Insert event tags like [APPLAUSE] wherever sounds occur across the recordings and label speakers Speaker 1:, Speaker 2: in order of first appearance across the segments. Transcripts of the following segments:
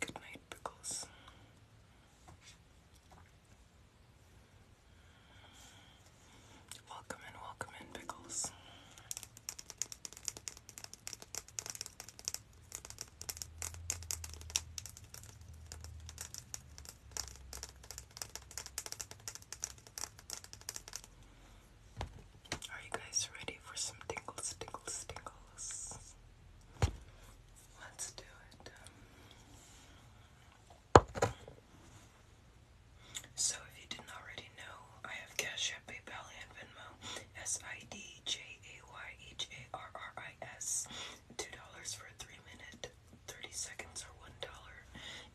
Speaker 1: Good night, pickles. Welcome in, welcome in, Pickles. Are you guys ready for some tingles, tingles, tingles? Let's do it. So if you didn't already know, I have Cash App, PayPal, and Venmo. S I D J A Y H A R R I S. Two dollars for a three-minute, thirty seconds, or one dollar.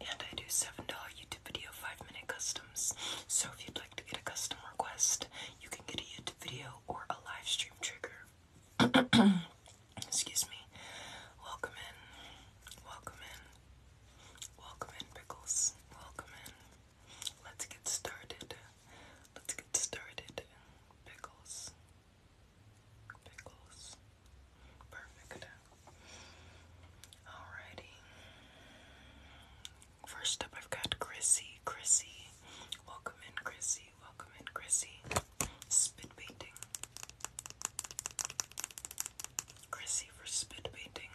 Speaker 1: And I do seven dollar YouTube video five-minute customs. So if you'd like to get a custom request, you can get a YouTube video or a live stream trigger. [COUGHS] Excuse me. Welcome in. Welcome in. Welcome in, Pickles. Welcome in. Let's get started. Let's get started. Pickles. Pickles. Perfect. Alrighty. First up, I've got Chrissy. Chrissy. Welcome in, Chrissy. Welcome in, Chrissy. Spit painting. Chrissy for spit painting.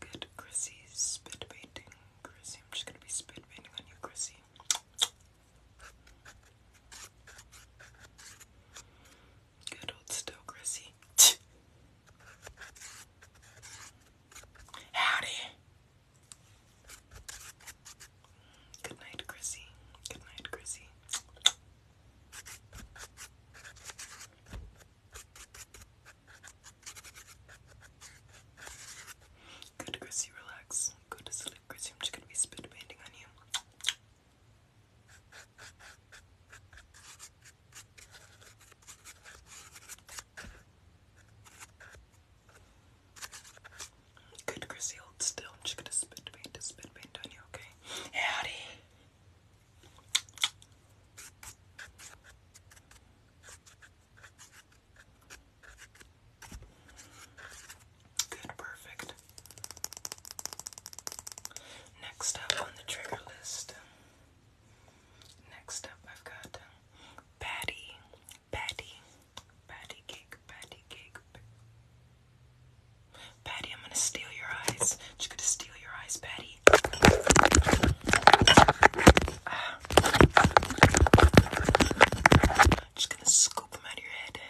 Speaker 1: Good Chrissy spit Chrissy, I'm just gonna be spit on you, Chrissy. Good old still, Chrissy. Howdy. Good night, Chrissy. Good night, Chrissy. Good, Chrissy, relax. Go to sleep, Chrissy. I'm just gonna be spit on you. Good, Chrissy, hold still. I'm just gonna spit paint to spit paint on you,
Speaker 2: okay? Hey, howdy!
Speaker 1: Good, perfect. Next up on the trigger list. Next up, I've got Patty patty, patty cake, patty cake. Patty, I'm gonna steal your eyes. Just gonna steal your eyes, Patty. Ah. Just gonna scoop them out of your head.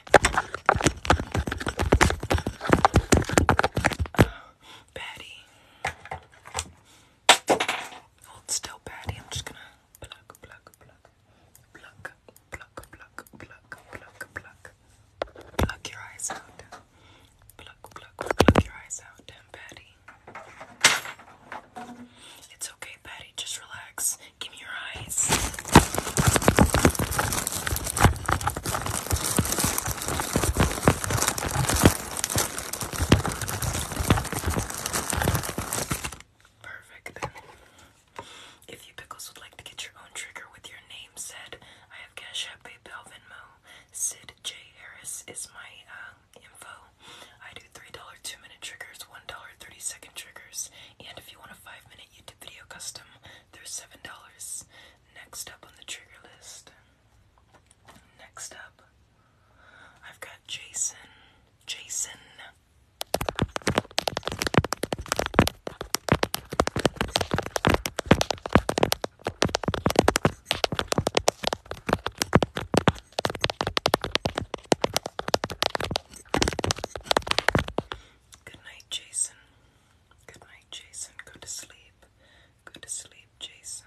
Speaker 1: Ah. Patty. Hold still, Patty. I'm just gonna pluck, pluck, pluck, Pluck, pluck, pluck, pluck, pluck, pluck. Pluck your eyes out. Pluck, pluck, pluck your eyes out, Patty. It's okay, Patty. Just relax. Give me your eyes. Perfect If you pickles would like to get your own trigger with your name said, I have Cash App, PayPal, Venmo. Sid J Harris is my uh, info. I do three dollar two minute triggers, one dollar thirty second triggers, and if you want a five minute YouTube video custom, there's seven dollars. Next up on the trigger list. Next up, I've got Jason. Jason Good night, Jason. Good night, Jason. Go to sleep. Go to sleep, Jason.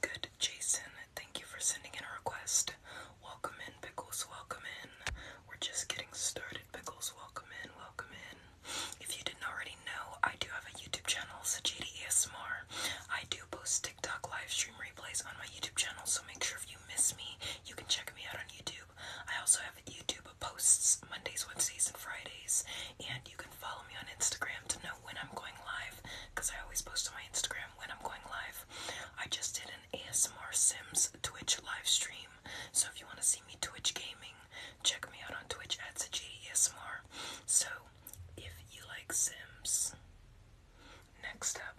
Speaker 1: Good, Jason. Thank you for sending in a request. Welcome in, Pickles. Welcome in. We're just getting started, Pickles. Welcome in. Welcome in. If you didn't already know, I do have a YouTube channel, Sajidi ASMR. I do post TikTok live stream replays on my YouTube channel, so make sure if you miss me, you can check me out on YouTube. I also have YouTube posts Mondays, Wednesdays, and Fridays, and you can follow me on Instagram to know when I'm going live because I always post on my Instagram when I'm going live. I just did an ASMR Sims Twitch live stream so if you want to see me Twitch gaming, check me out on Twitch at SajiDSMR. So if you like Sims, next up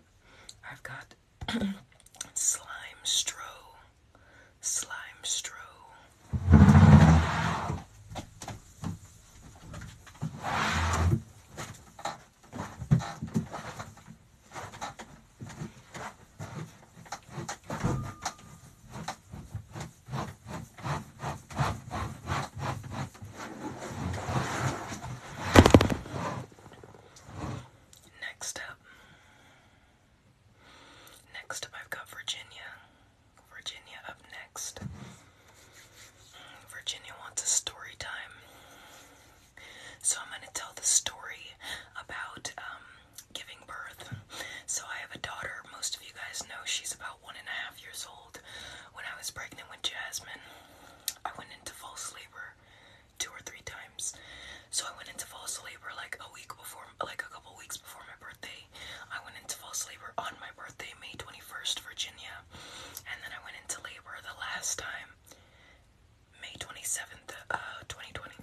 Speaker 1: I've
Speaker 2: got [CLEARS THROAT]
Speaker 1: Slime Stro. Slime Stro.
Speaker 2: Next up, next up, I've got Virginia.
Speaker 1: Virginia up next. Virginia wants a story time. So I'm going to tell the story about um, giving birth. So I have a daughter. Most of you guys know she's about one and a half years old. When I was pregnant with Jasmine, I went into false labor two or three times. So I went into false labor like a week before, like a couple weeks before my birthday. I went into false labor on my birthday, May 21st, Virginia. And then I went into labor the last time May 27th, uh, 2020,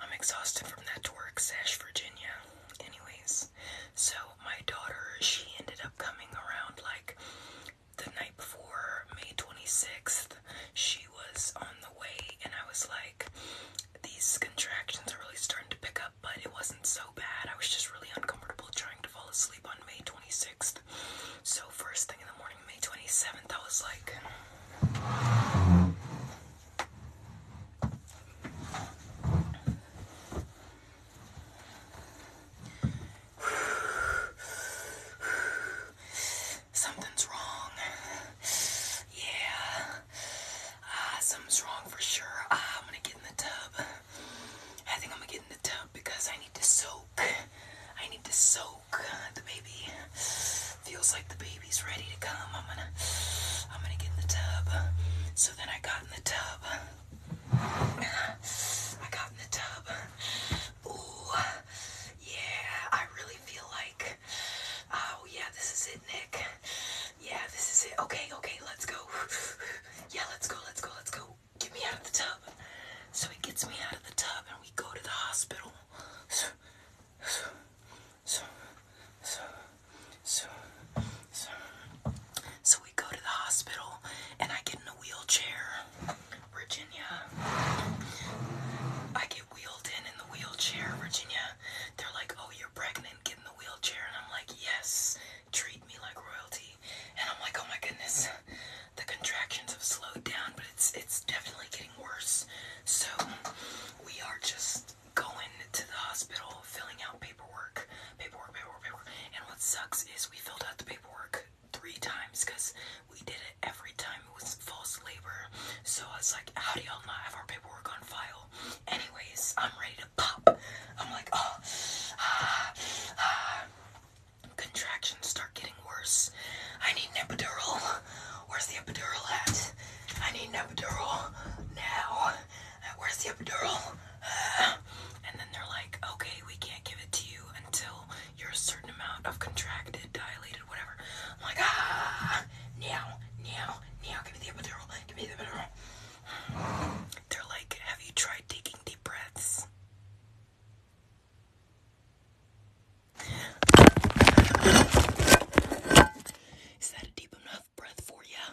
Speaker 1: I'm exhausted from that work sash, Virginia. Anyways, so my daughter, she ended up coming around like the night before May 26th. She was on the way, and I was like, these contractions are really starting to pick up but it wasn't so bad. I was just really uncomfortable trying to fall asleep on May 26th. So, first thing in the morning, May 27th, I was like. Something's wrong. Yeah. Ah, something's wrong for sure. Ah, I'm gonna get in the tub. I think I'm gonna get in the tub because I need to soak. I need to soak. The baby feels like the baby's ready to come. I'm gonna I'm gonna get in the tub. So then I got in the tub.
Speaker 2: I
Speaker 1: got in the tub. Ooh, yeah, I really feel like oh yeah, this is it, Nick. Yeah, this is it. Okay, okay, let's go. Yeah, let's go, let's go, let's go get me out of the tub. So he gets me out of the tub and we go to the hospital. So, we go to the hospital and I get in a wheelchair. Virginia. I get wheeled in in the wheelchair, Virginia. They're like, oh, you're pregnant, get in the wheelchair. And I'm like, yes treat me like royalty. And I'm like, oh my goodness, the contractions have slowed down, but it's it's definitely getting worse. So we are just going to the hospital, filling out paperwork, paperwork, paperwork, paperwork. And what sucks is we filled out the paperwork three times because we did it every time it was false labor. So I was like, how do y'all not have our paperwork on file? Anyways, I'm ready to pop. I'm like, oh, ah, ah. Contractions start getting worse. I need an epidural. Where's the epidural at? I need an epidural now. Where's the epidural? Uh, [SIGHS] and then they're like, okay, we can't give it to you until you're a certain amount of contracted, dilated, whatever. I'm like, ah, now, now, now, give me the epidural, give me the epidural. [SIGHS] They're like, have you tried taking deep breaths? Is that a deep enough breath for you?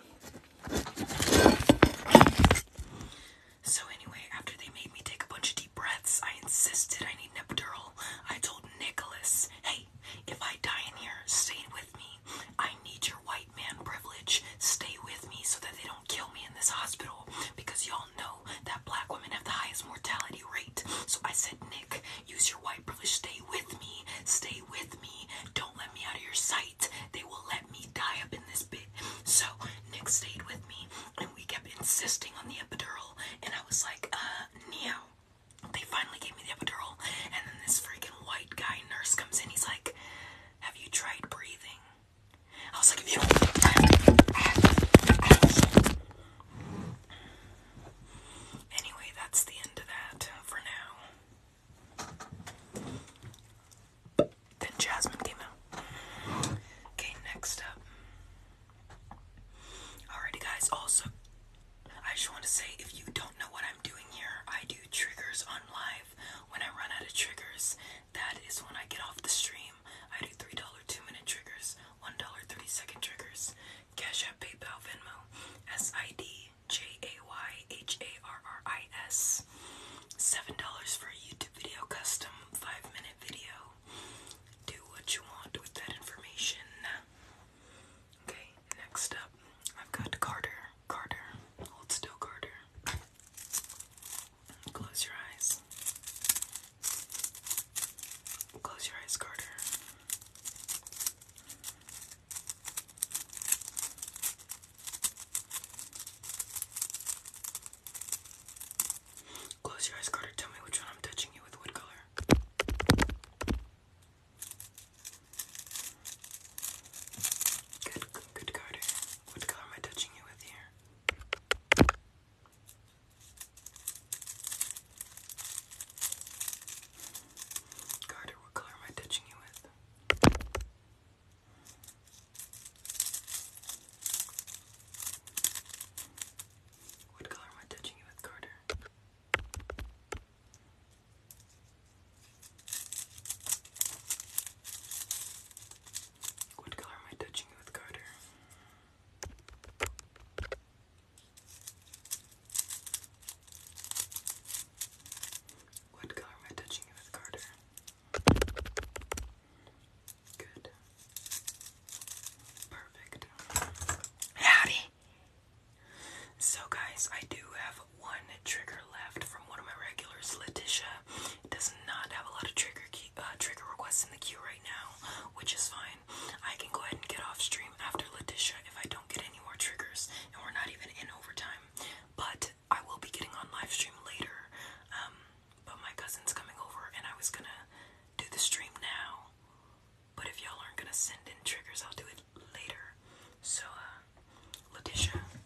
Speaker 1: So, anyway, after they made me take a bunch of deep breaths, I insisted I need an epidural. I told Nicholas, hey, if I die in here, stay with me. I need your white man privilege. Stay with me so that they don't don't kill me in this hospital because y'all know that black women have the highest mortality rate. So I said, Nick, use your white privilege. Stay with me. Stay with me. Don't let me out of your sight. They will let me die up in this bit. So Nick stayed with me and we kept insisting on the epidural. And I was like, uh, Neo. They finally gave me the epidural. And then this freaking white guy nurse comes in. He's like, Have you tried breathing? I was like, Anyway, that's the end of that for now. Then Jasmine came out. Okay, next up. Alrighty, guys. Also, I just want to say if you don't know what I'm doing here, I do triggers on live when I run out of triggers. That is when I get off the stream. I do $3 two minute triggers, $1 30 second triggers. Cash App, PayPal, Venmo, S I D J A Y H A R R I S. $7 for a YouTube video custom, 5 minute video. Do what you want with that information. Okay, next up, I've got Carter. Carter. Hold still, Carter. Close your eyes. Close your eyes, Carter. Close your eyes, Carter. Tell me which one I'm touching you with wood color. Good, good, Carter. What color am I touching you with here? Carter, what color am I touching you with? What color am I touching you with, Carter? What color am I touching with Carter? What color am I touching with Carter? Good. Perfect. Howdy! So, guys, I do have one trigger left from one of
Speaker 2: my regulars, Letitia does not have a lot of trigger uh, trigger requests in the queue right
Speaker 1: now, which is fine. I can go ahead and get off stream after Leticia if I don't get any more triggers, and we're not even in overtime. But I will be getting on live stream later. Um, but my cousin's coming over, and I was gonna do the stream now. But if y'all aren't gonna send in triggers, I'll do it later. So, uh, Letitia.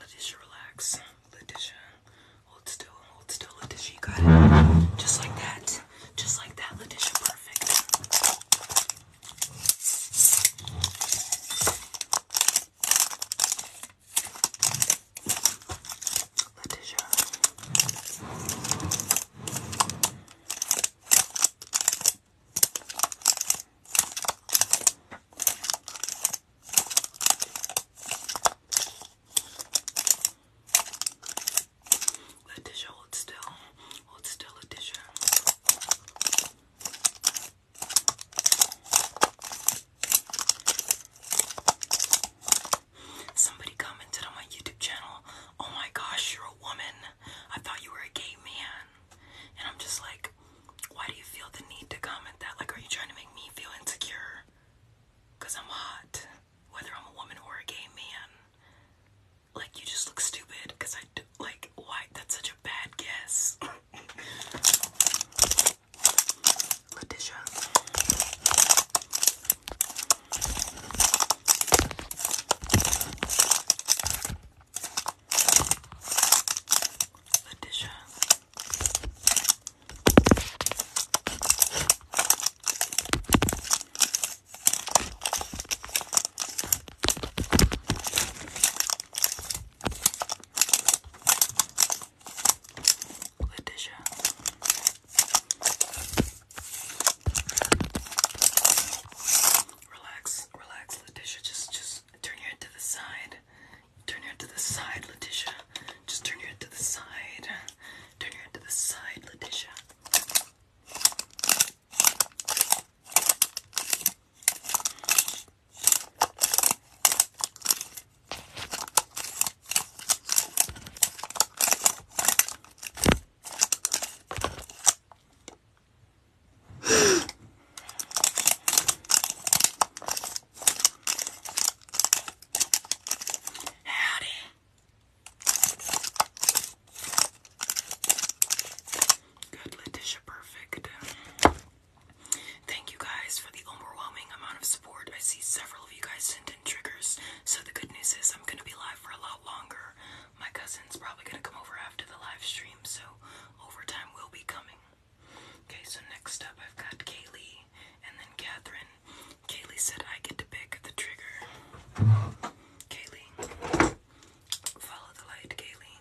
Speaker 1: Letitia, relax. Letitia, uh, hold still, hold still. Letitia, you got it. Just like that. Just like that, Letitia. Perfect. Letitia. Letitia, hold still. Hold still, Letitia. Somebody commented on my YouTube channel. Oh my gosh, you're a woman. I thought you were a gay man. And I'm just like, why do you feel the need to comment that? Like, are you trying to make me feel insecure? Because I'm hot, whether I'm a woman or a gay man. Like, you just look stupid because I do. Like, why? That's such a bad guess. [LAUGHS] Letitia. Letitia. Letitia. Relax, relax, Letitia. Just, just turn your head to the side. Turn your head to the side, Letitia. Just turn your head to the side. Turn your head to the side, Letitia. Howdy. Good, Letitia, perfect. Thank you guys for the overwhelming amount of support. I see several of you guys sent in triggers, so the good news is I'm gonna be live for a lot longer. My cousin's probably gonna come over after the live stream, so overtime will be coming. Okay, so next up I've got Kaylee and then Catherine. Kaylee said I get to pick the trigger. Kaylee, follow the light, Kaylee.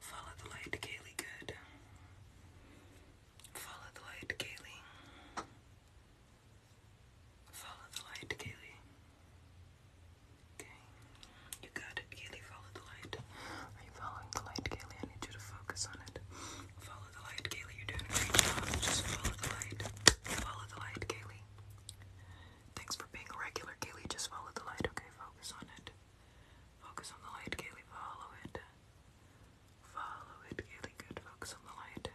Speaker 1: Follow the light, Kaylee, good. Follow the light, Kaylee. Follow the light, Kaylee. Okay. You got it. Kaylee, follow the light. Are you following the light, Kaylee? I need you to focus on it. Follow the light, Kaylee. You're doing a great job. Just follow the light. Follow the light, Kaylee. Thanks for being a regular, Kaylee. Just follow the light, okay? Focus on it. Focus on the light, Kaylee. Follow it. Follow it, Kaylee. Good. Focus on the light.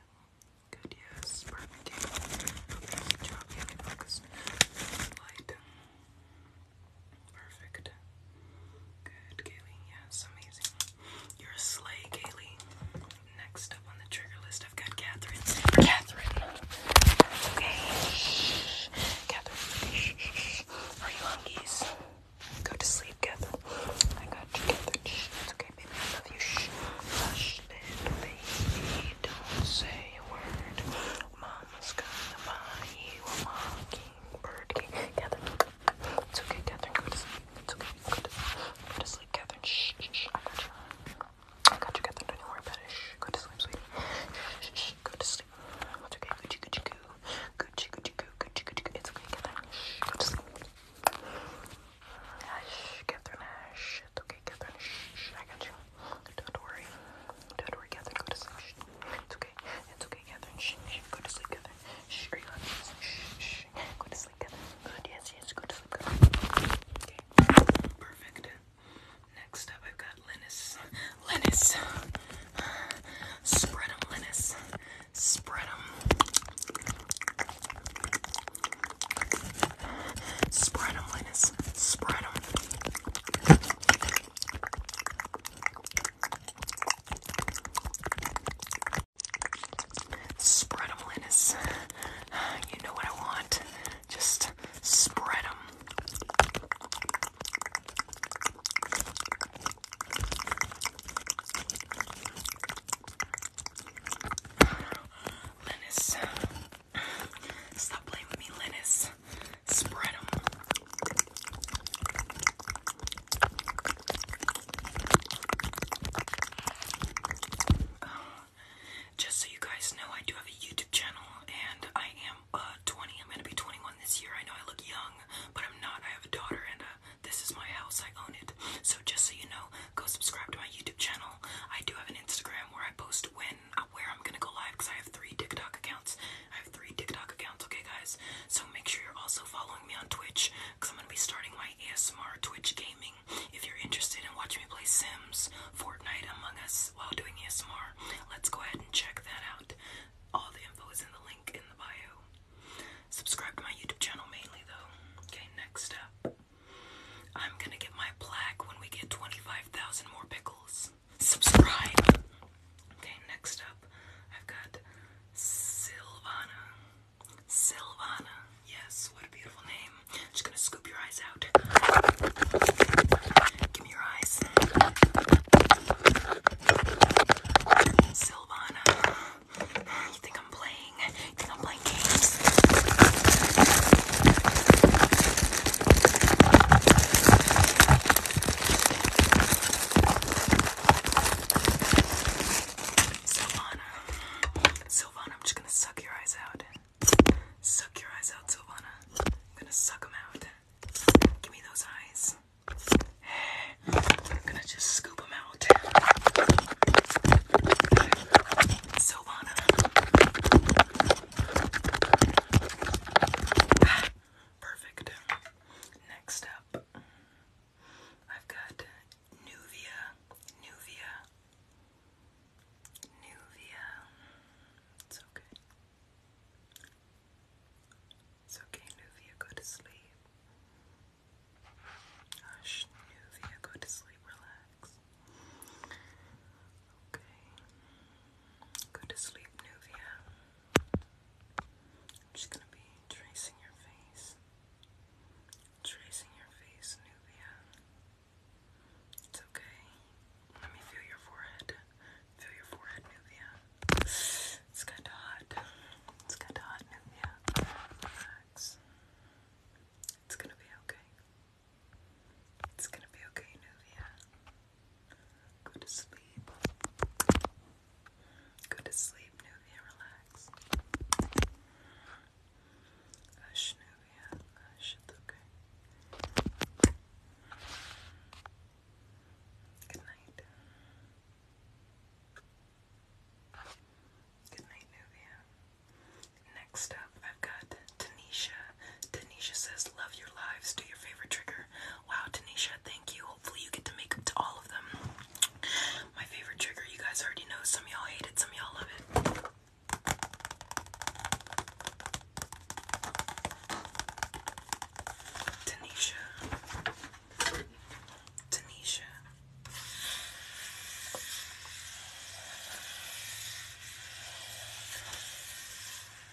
Speaker 1: Good, yes. Perfect, Kaylee. good job, Focus on the light. Perfect. Good, Kaylee. Yes, amazing. You're a sleigh, Kaylee. Next up on the trigger list, I've got Catherine. Catherine. Okay. Catherine. Are you hungry? Go to sleep, Catherine. I got you, Catherine. It's okay, baby. I love you. Hush, baby. Don't say a word.
Speaker 2: Mama's gonna buy you a mockingbird. Okay, Catherine. It's okay, Catherine. Go to sleep. It's okay. Go to sleep. Go to sleep, Catherine. Shh, shh, shh. I got you. I got
Speaker 1: you, Catherine. Don't worry about it. Shh. Go to sleep, sweetie. Shh, shh, shh. Go to sleep. It's okay. Gucci, Gucci, goo. Gucci, Gucci, goo. Gucci, Gucci, goo. It's okay, Catherine. Shh. Go to sleep. Shh, Catherine. Shh. It's okay, Catherine. Shh, shh. I got you. Don't worry. Don't worry, Catherine. Go to sleep. Shh. It's okay. It's okay, Catherine. Shh. Shh. Go to sleep, Catherine. Shh. Are you happy? Shh. Shh. Go to sleep, Catherine. Good. Yes, yes. Go to sleep, Catherine. Okay. Perfect. Next up, I've got Linus. Linus. Spread them, Linus. Spread them. Spread them, Linus. Spread them. Spread them, Linus. You know what I want. Just spread them. Linus. Stop playing me, Linus spread them. Uh, just so you guys know, I do have a YouTube channel, and I am uh 20. I'm gonna be 21 this year. I know I look young, but I'm not. I have a daughter, and uh, this is my house. I own it. So just so you know, go subscribe to my YouTube channel. I do have an Instagram where I post when where I'm gonna go live because I have three TikTok accounts. I have three TikTok accounts, okay, guys? So make sure you're also following me on Twitch because I'm gonna be starting my ASMR Twitch gaming. If you're interested in watching me play Sims, Fortnite, Among Us while doing ASMR, let's go ahead and check that out. All the info is in the link in the bio. Subscribe to my YouTube channel mainly, though. Okay, next up. I'm gonna get my plaque when we get 25,000 more pickles subscribe. Okay, next up, I've got Silvana. Silvana. Yes, what a beautiful name. Just gonna scoop your eyes out. Give me your eyes. Silvana. You think I'm playing? You think I'm playing games? Silvana. Silvana, I'm just gonna suck your eyes out. Suck your eyes out, Silvana. I'm gonna suck out. Give me those eyes. I'm gonna just scoop out. Silvana. Perfect. Next up, I've got Nuvia. Nuvia. Nuvia. It's okay. It's okay, Nuvia. Go to sleep. Hush, Nuvia. Go to sleep. Relax. Okay. Go to sleep, Nuvia. I'm just gonna be tracing your face. Tracing your face, Nubia. It's okay. Let me feel your forehead. Feel your forehead, Nubia. It's kinda hot. It's kinda hot, Nubia. Relax. It's gonna be okay. It's gonna be okay, Nubia. Go to sleep. Go to sleep, Nuvia. Relax. Good night. Good night, Nuvia. Next up, I've got Tanisha Tanisha says, Love your lives. Do your favorite trigger. Wow, Tanisha, thank you. Hopefully, you get to make up to all of them. My favorite trigger, you guys already know. Some y'all hate it, some y'all love it. Tanisha. Tanisha.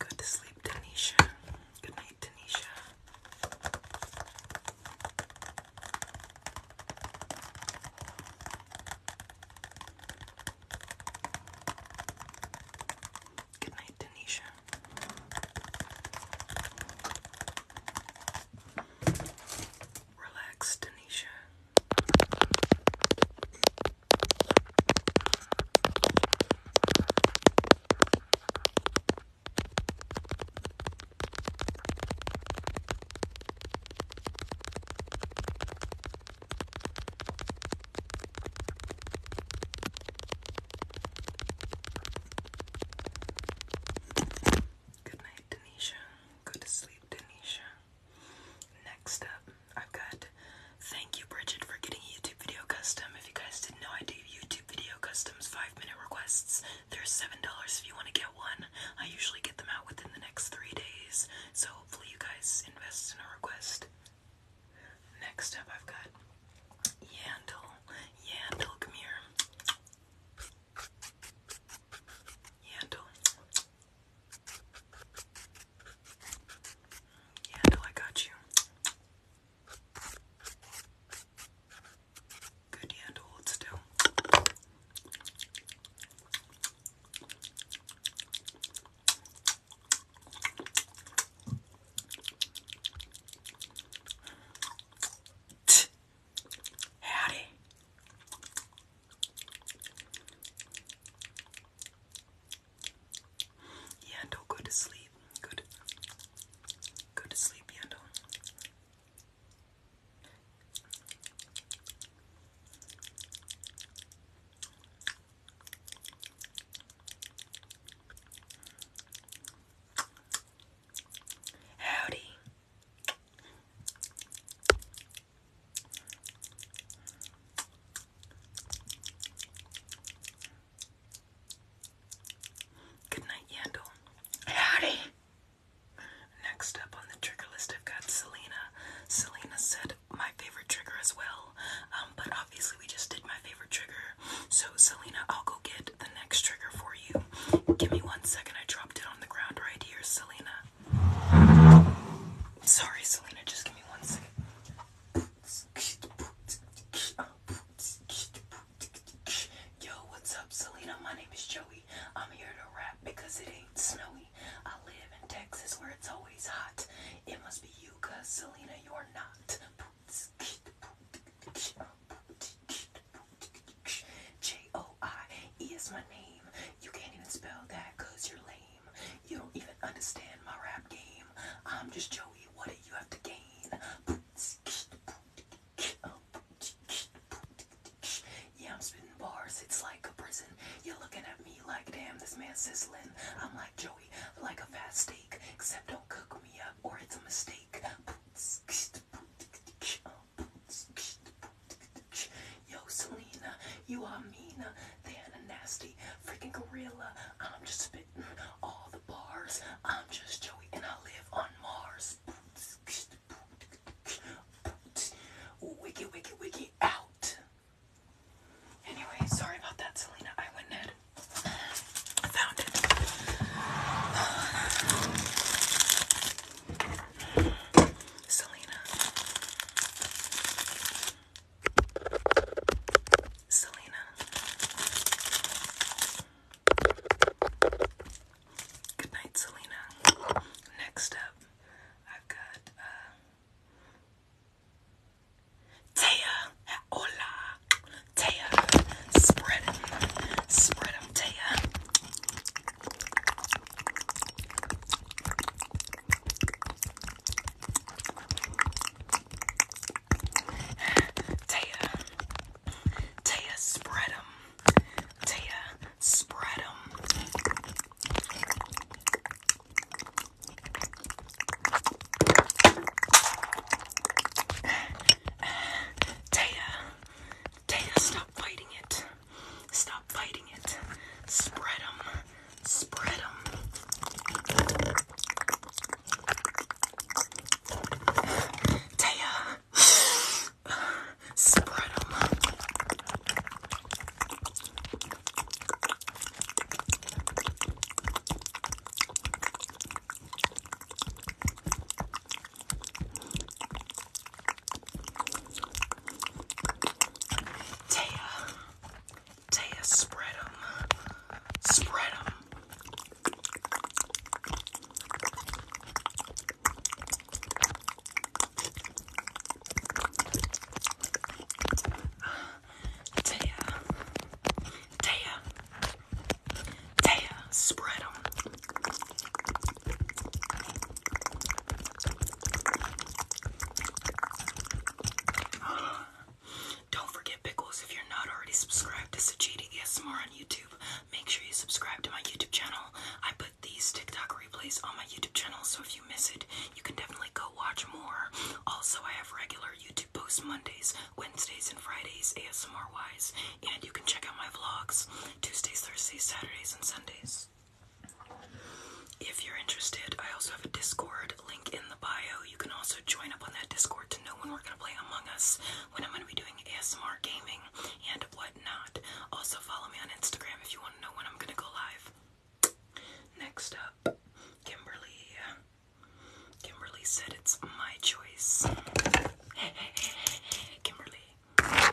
Speaker 1: Good to sleep, Tanisha. Good night, Tanisha. Good night, Tanisha. Relax, Tanisha. Good night, Denisha. Go to sleep, Denisha. Next up, I've got thank you, Bridget, for getting YouTube video custom. If you guys didn't know, I do YouTube video customs, five minute requests. There's seven dollars if you want to get one. I usually get them out within the next three days, so hopefully you guys invest in a request. Next up, I've got Yandel. Yandel, come here handle. Handle, I got you. Good handle, still. Howdy. Yando, go to sleep. Good. Go to sleep, Yando. Howdy. Good night, Yandel. Howdy. Next up on the trigger list, I've got Selena. Selena said my favorite trigger as well, um, but obviously we just did my favorite trigger, so, Selena, I'll go get the next trigger for you. Give me one second. I dropped it on the ground right here, Selena. Sorry, Selena, just give me one second. Yo, what's up, Selena? My name is Joey. I'm here to rap because it ain't snowy. I live in Texas where it's always hot. It must be you, cause Selena, you're not. J O I is my name. You can't even spell that because you're lame. You don't even understand my rap game. I'm just Joey. What do you have to gain? Yeah, I'm spitting bars. It's like a prison. You're looking at me like, damn, this man's sizzling. I'm like Joey, like a fat steak. Except don't cook me up or it's a mistake. Yo, Selena, you are Mina, They're a nasty freaking gorilla. I'm just spitting all the bars. I'm just Joey, and I live on Mars. Wiki, wiki, wiki, out. Anyway, sorry about that, Selena. I went Ned. I found it. Selena. Selena. Good night, Selena. Next up, I've got uh, Hola. Taya. Spread them. Spread them, Taya. Taya. Taya, spread them. Taya,
Speaker 2: spread them. Taya,
Speaker 1: Tana, stop fighting it. Stop fighting it. Spread them. Spread them. Taya, [SIGHS] spread them. Taya, Taya, spread them, spread them. Taya, Taya, Taya, uh, spread them. [GASPS] Don't forget, Pickles, if you're not already subscribed to Sajidi ASMR on YouTube, make sure you subscribe to my YouTube channel. I put these TikTok replays on my YouTube channel, so if you miss it, you can definitely go watch more. Also, I have regular YouTube posts Mondays, Wednesdays, and Fridays ASMR wise, and you can check out my vlogs. Tuesdays, Thursdays, Saturdays, and Sundays. If you're interested, I also have a Discord link in the bio. You can also join up on that Discord to know when we're going to play Among Us, when I'm going to be doing ASMR gaming, and whatnot. Also, follow me on Instagram if you want to know when I'm going to go live. Next up, Kimberly. Kimberly said it's my choice. [LAUGHS] Kimberly. Kimberly.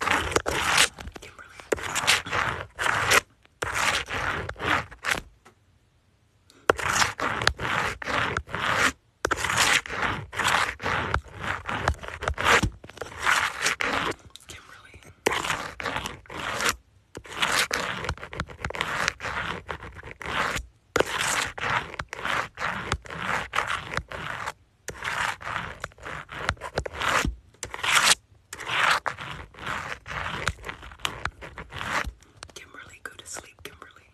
Speaker 1: Kimberly, go to sleep, Kimberly.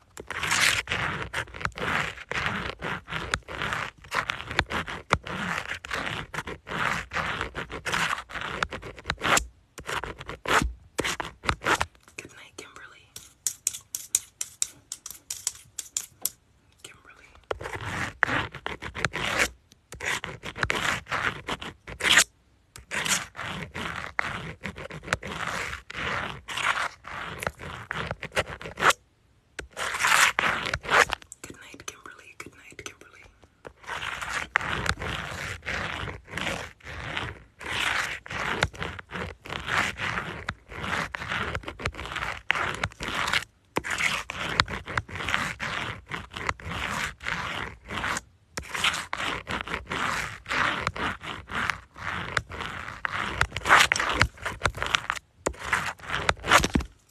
Speaker 2: Good night, Kimberly. Goodnight, Kimberly. Goodnight, Kimberly.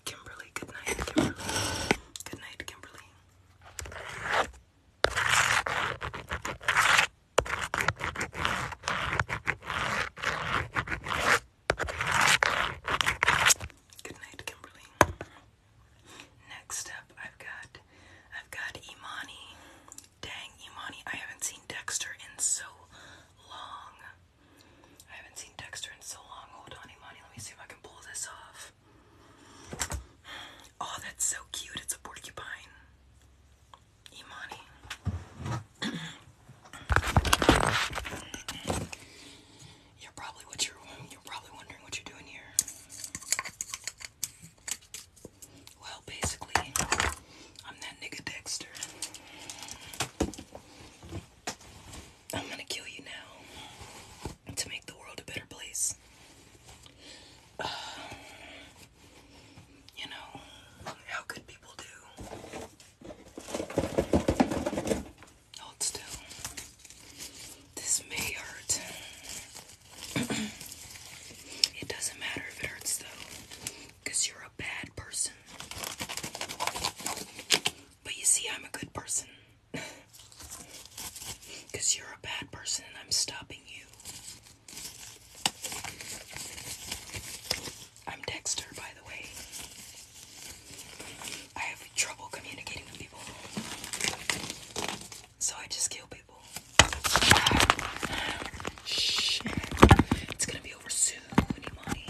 Speaker 1: Kimberly, good night, Kimberly. Good night, Kimberly. Good night, Kimberly. Next up, I've got I've got Imani. Dang, Imani, I haven't seen Dexter in so long. I haven't seen Dexter in so long. Hold on, Imani, let me see if I can pull this off. Oh, that's so cute. It's a porcupine. Imani. [CLEARS THROAT] You're probably wondering what you're doing here. Well, basically, I'm that nigga Dexter. I'm gonna kill you now to make the world a better place. Uh, you know how good people do. Hold still. This may hurt. [CLEARS THROAT] it doesn't matter if it hurts though, because you're a bad person. But you see, I'm a good person. Because [LAUGHS] you're a bad person and I'm stopping you. I'm Dexter, by the way. I have trouble communicating with people, so I just kill people. Shit. It's gonna be over soon, Imani.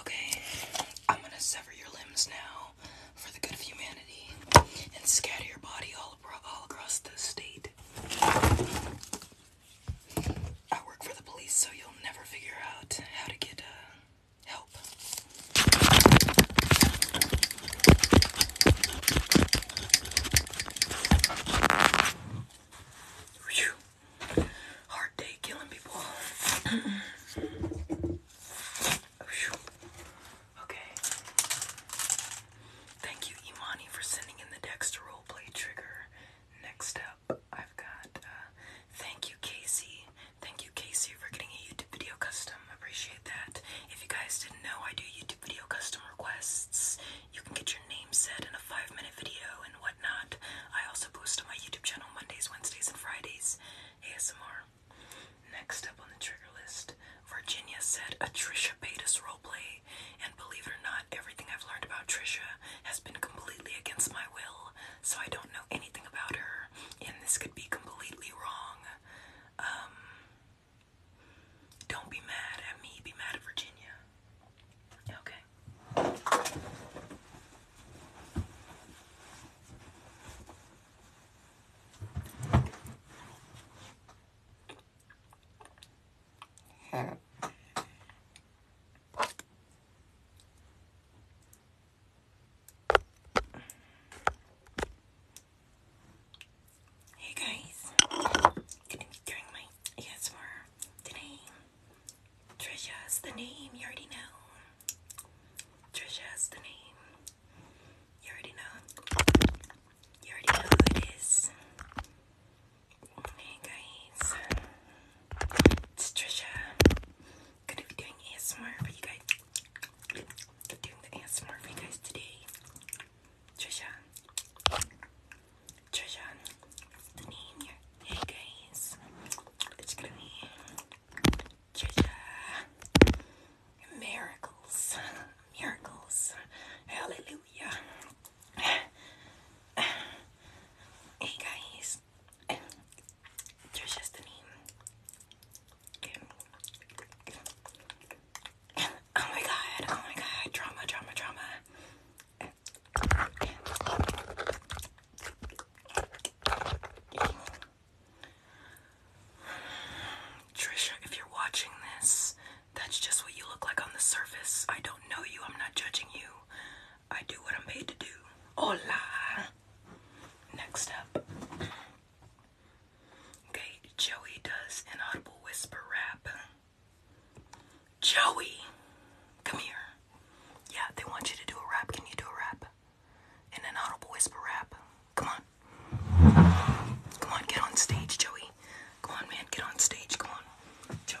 Speaker 1: Okay, I'm gonna sever your limbs now for the good of humanity and scatter your body all, across the state. I work for the police, so you'll never figure out how to get uh, help. Hard day killing people. [CLEARS THROAT] Okay. Thank you, Imani, for sending in the Dexter roleplay trigger. Next up, I've got uh, thank you, Casey. Thank you, Casey, for getting a YouTube video custom. Appreciate that. If you guys didn't know, I do YouTube video custom requests. You can get your name said in a five minute video and whatnot. I also post on my YouTube channel Mondays, Wednesdays, and Fridays ASMR. Next up on the trigger list, Virginia said a Trisha Paytas roleplay. And believe it or not, everything I've learned about Trisha has been completely against my will, so I don't know anything about her, and this could be completely wrong. Um, don't be mad at me, be mad at Virginia. Okay. Hey guys, gonna be doing my ASMR the name. Trisha's the name, you already know. Trisha is the name. You already know. You already know who it is. Hey guys. It's Trisha. Gonna be doing ASMR for you guys. Doing the ASMR for you guys today. Trisha. Trisha, the Hey guys, it's gonna be Treasure. Miracles, miracles, hallelujah. Hey guys, Trisha's the Oh my god, oh my god, drama, drama, drama. Trisha, if you're watching this, that's just what you look like on the surface. I don't know you, I'm not judging you. I do what I'm paid to do. Hola! Next up. Okay, Joey does an audible whisper rap. Joey, come here. Yeah, they want you to do a rap. Can you do a rap? In an audible whisper rap. Come on. Come on, get on stage, Joey. Come on, man, get on stage. Come on, Joey.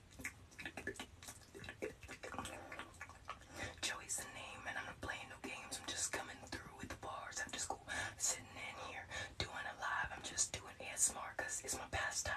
Speaker 1: Joey's the name, and I'm not playing no games. I'm just coming through with the bars after school, sitting in here doing it live. I'm just doing ASMR because it's my pastime.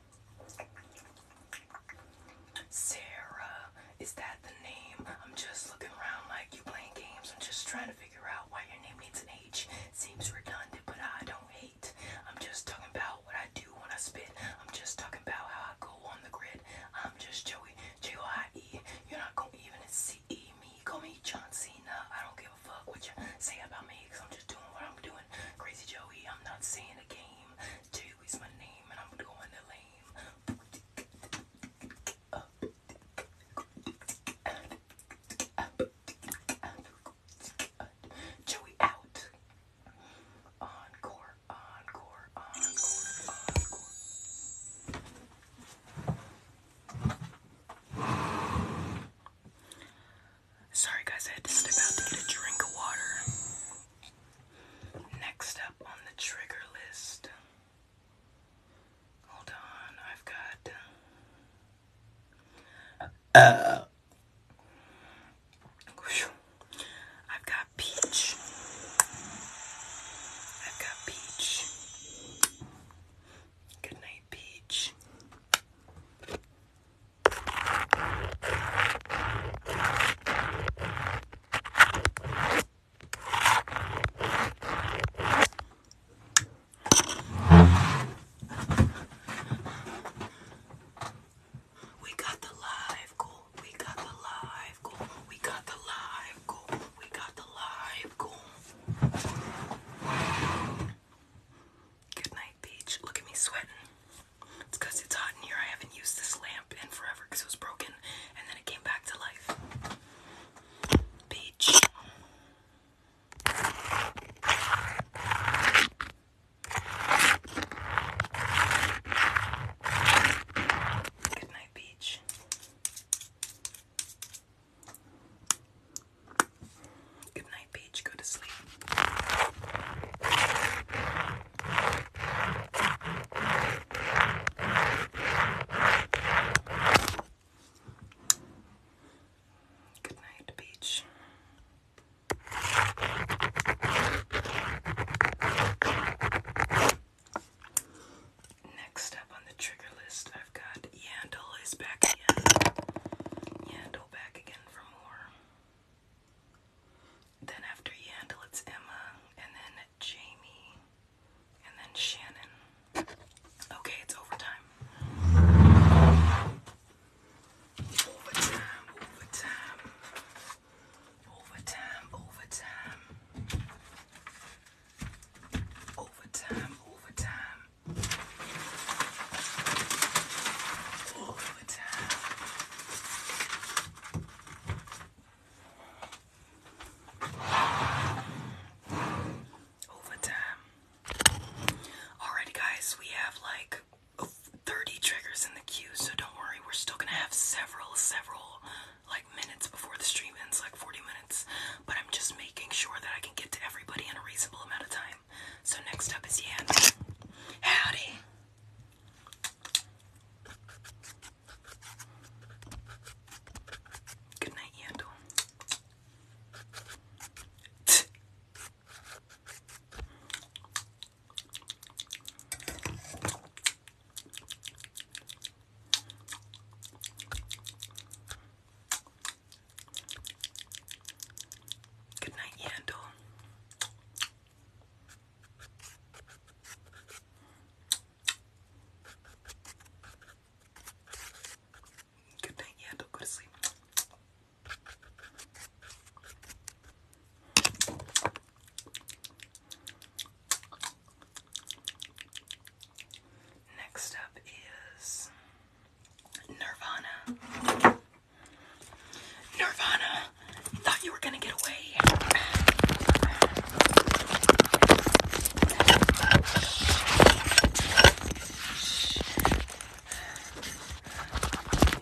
Speaker 1: Sarah, is that the name? I'm just looking around like you playing games. I'm just trying to figure out why your name needs an H. Seems redundant, but I don't hate. I'm just talking about what I do when I spit. I'm just talking about how I go on the grid. I'm just Joey, J O I E. You're not gonna even see me. Call me John Cena. I don't give a fuck what you say about me, cause I'm just doing what I'm doing. Crazy Joey, I'm not saying a game. J my name, and I'm going to lame. Joey out. encore, encore, encore. Sorry guys, I had to step out to get a drink of water. Next up on the trigger list. Hold on, I've got. Uh, I've got peach. I've got peach. Good night, peach. We got the live goal. We got the live goal. We got the live goal. We got the live goal. Good night, beach. Look at me sweating. It's because it's hot in here. I haven't used this lamp in forever because it was broken and then it came back to life. Beach. Good night, beach. Good night, beach. Go to sleep.
Speaker 2: Good beach. Next up on the trigger list, I've got Yandel is back again. Yandel back again for more. Then after Yandel, it's Emma, and then Jamie, and then Shannon. Okay, it's overtime. Overtime, overtime.
Speaker 1: Overtime, overtime. Overtime, overtime. Overtime. Overtime. Alrighty, guys, we have like 30 triggers in the queue, so don't worry, we're still gonna have several, several like minutes before the stream ends, like 40 minutes. But I'm just making sure that I can get to everybody in a reasonable amount of time. So next up is Yan. Howdy. Good night, Yandel. Good night, Yandel. Good night, yeah, don't go to sleep. Next up is Nirvana. Nirvana. You thought you were gonna get away.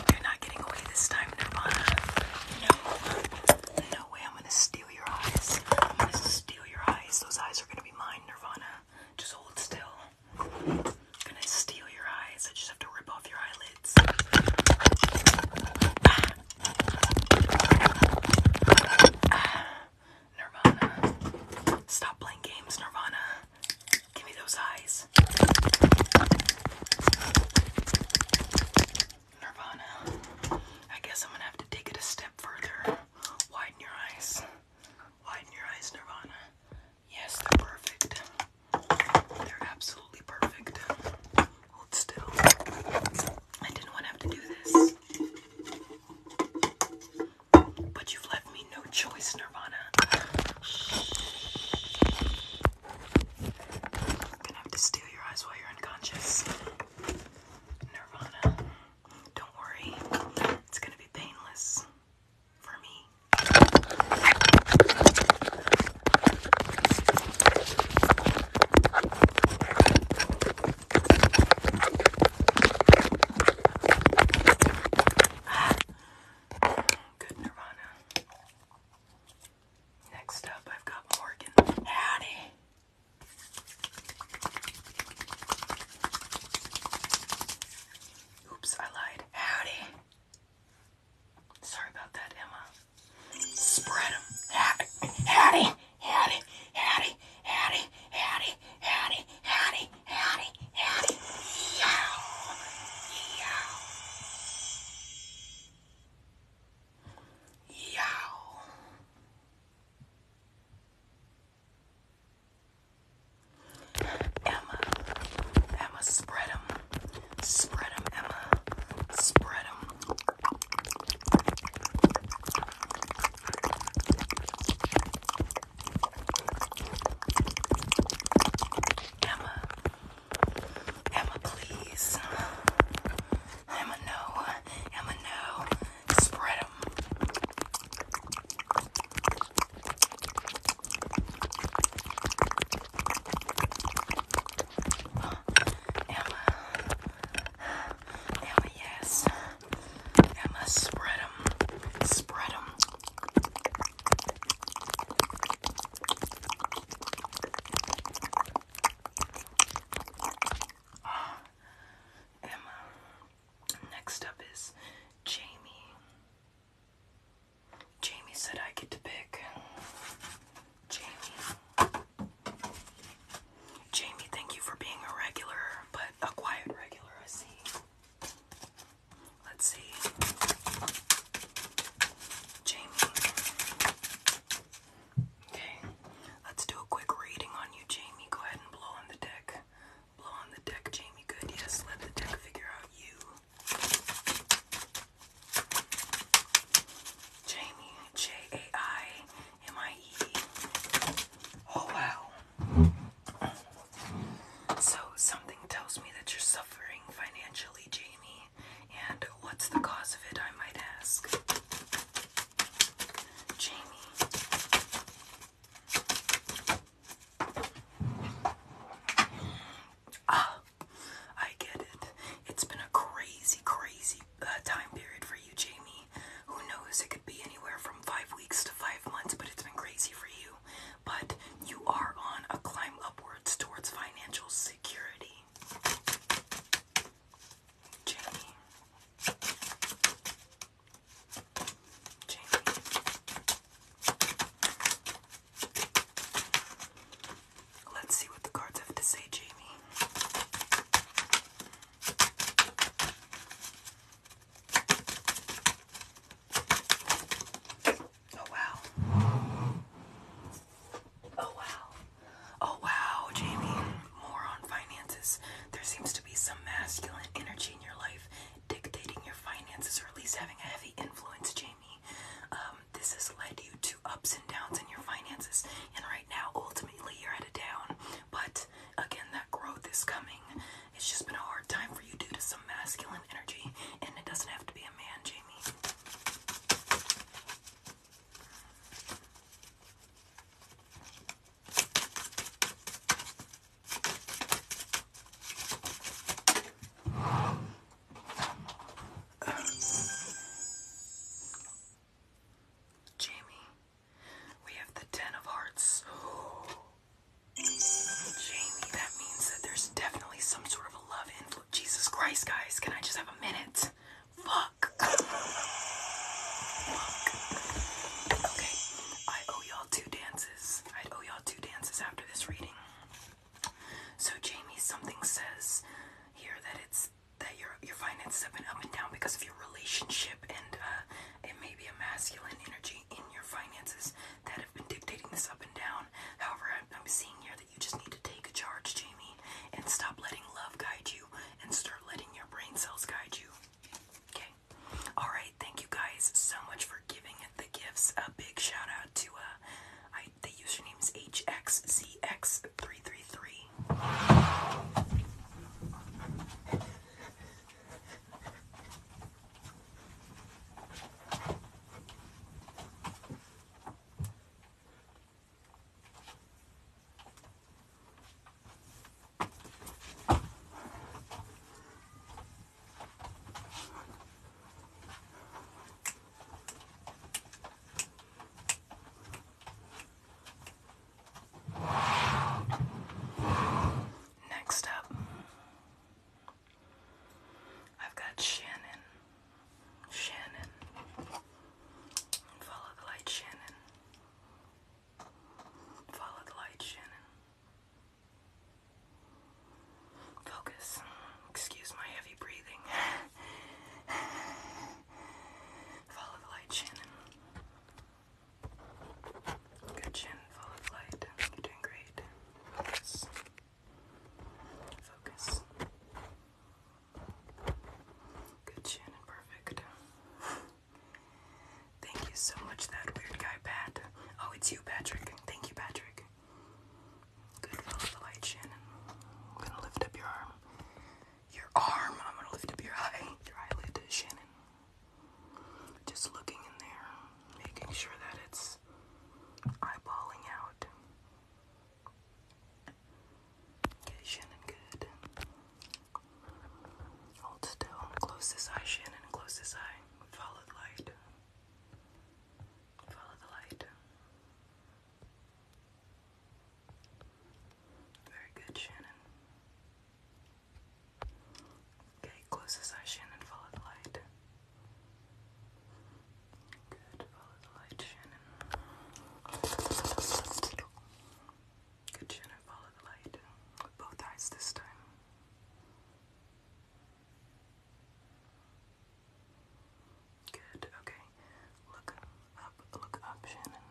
Speaker 1: You're not getting away this time, Nirvana. No. No way I'm gonna steal your eyes. I'm gonna steal your eyes. Those eyes are gonna be mine, Nirvana. Just hold still. I'm gonna steal your eyes. I just have to rip off your eyelids. Ah. Nirvana. Stop playing games, Nirvana. Give me those eyes. Nirvana. I guess I'm gonna have to take it a step further. Widen your eyes. Widen your eyes, Nirvana. Yes, perfect. They're absolutely perfect. Hold still. I didn't want to have to do this. But you've left me no choice, Nirvana. gonna have to steal your eyes while you're unconscious. Nirvana. Don't worry, it's gonna be painless for me. Good Nirvana. Next up, I've got Morgan Hattie. Oops, I lied. Howdy. Sorry about that, Emma. Spread them. Howdy, howdy, howdy, howdy, howdy, howdy, howdy, howdy, howdy,
Speaker 2: howdy. Yow, yow. Yow.
Speaker 1: Emma, Emma, spread them. Spread them, Emma. Spread them. Emma, Emma, please. Emma, no. Emma, no. Spread them. Emma, Emma, Emma, yes. Emma, spread them, spread them. Ah, Emma. Next up is Jamie. Jamie said I get to pick. Jamie. Jamie, thank you for being a regular, but a quiet regular, I see. Let's see. Jamie. Okay, let's do a quick reading on you, Jamie. Go ahead and blow on the deck. Blow on the deck, Jamie. Good, yes, let the deck figure out you. Jamie, J A I I eating? Oh wow. So something tells me that you're suffering financially, Jamie. And what's the cause of it, I might ask? Jamie. Ah, I get it. It's been a crazy, crazy uh, time period for
Speaker 2: you, Jamie. Who knows? It could be anywhere from five weeks to five months, but it's been crazy for you.
Speaker 1: But you are on a climb upwards towards financial security. Jamie. Jamie. Let's see what the cards have to say, Jamie.
Speaker 2: Oh wow. Oh wow. Oh wow, Jamie. More on finances.
Speaker 1: There seems to be some masculine energy in your life dictating your finances or at least having a heavy influence, Jamie. Um, this has led you to ups and downs in your finances. And right now, ultimately, you're at a down. But again, that growth is coming. It's just been a hard time for you due to some masculine energy, and it doesn't have to be a man, Jamie. Jamie, we have the Ten of Hearts. Jamie, that means that there's definitely some sort of a love influence. Jesus Christ, guys, can I just have a minute? Fuck. Okay, I owe y'all two dances. i owe y'all two dances after this reading. So, Jamie, something says here that it's that your your finances have been up and down because of your relationship and uh, it may be a masculine energy in your finances that have been dictating this up and down. However, I'm seeing here that you just need to take a charge, Jamie, and stop letting love guide you and start letting your brain cells guide you. Okay. All right. Thank you guys so much for giving the gifts. A big shout out to uh, I the username is HXZX33. 33. Next up, I've got Shannon. Shannon. Follow the light, Shannon. Follow the light, Shannon. Focus. Excuse my heavy breathing. [LAUGHS] Follow the light, Shannon. Good, Shannon. Follow the light. You're doing great. Focus. Focus. Good, Shannon. Perfect. Thank you so much, that weird guy, Pat. Oh, it's you, Patrick. Thank you, Patrick. Good, follow the light, Shannon. I'm gonna lift up your arm your arm. I'm gonna lift up your eye, your eyelid, Shannon. Just looking in there, making sure that it's eyeballing out. Okay, Shannon, good. Hold still. Close this eye, Shannon. Close this eye. Follow the light. Follow the light. Very good, Shannon. Okay, close this eye, Shannon. Follow the light. Good, follow the light, Shannon. Good, Shannon. Follow the light. both eyes this time. Good, okay. Look up, look up, Shannon.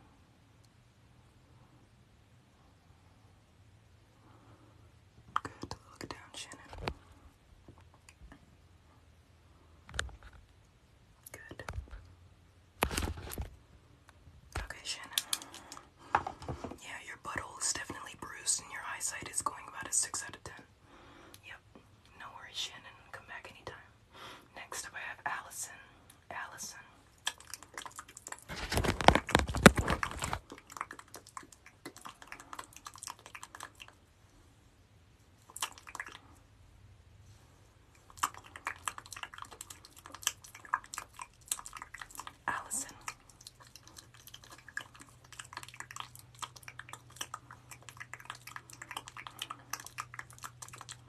Speaker 1: Good to look down, Shannon. Good. Okay, Shannon. Yeah, your butthole is definitely bruised and your eyesight is going about a 6 out of 10. Yep. No worries, Shannon. Come back anytime. Next up, have Allison. Allison. Allison. Good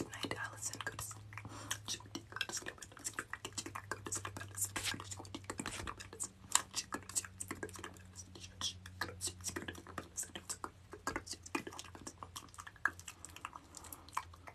Speaker 1: night, Allison. Go to sleep. Go to sleep. Go to sleep. Go to sleep.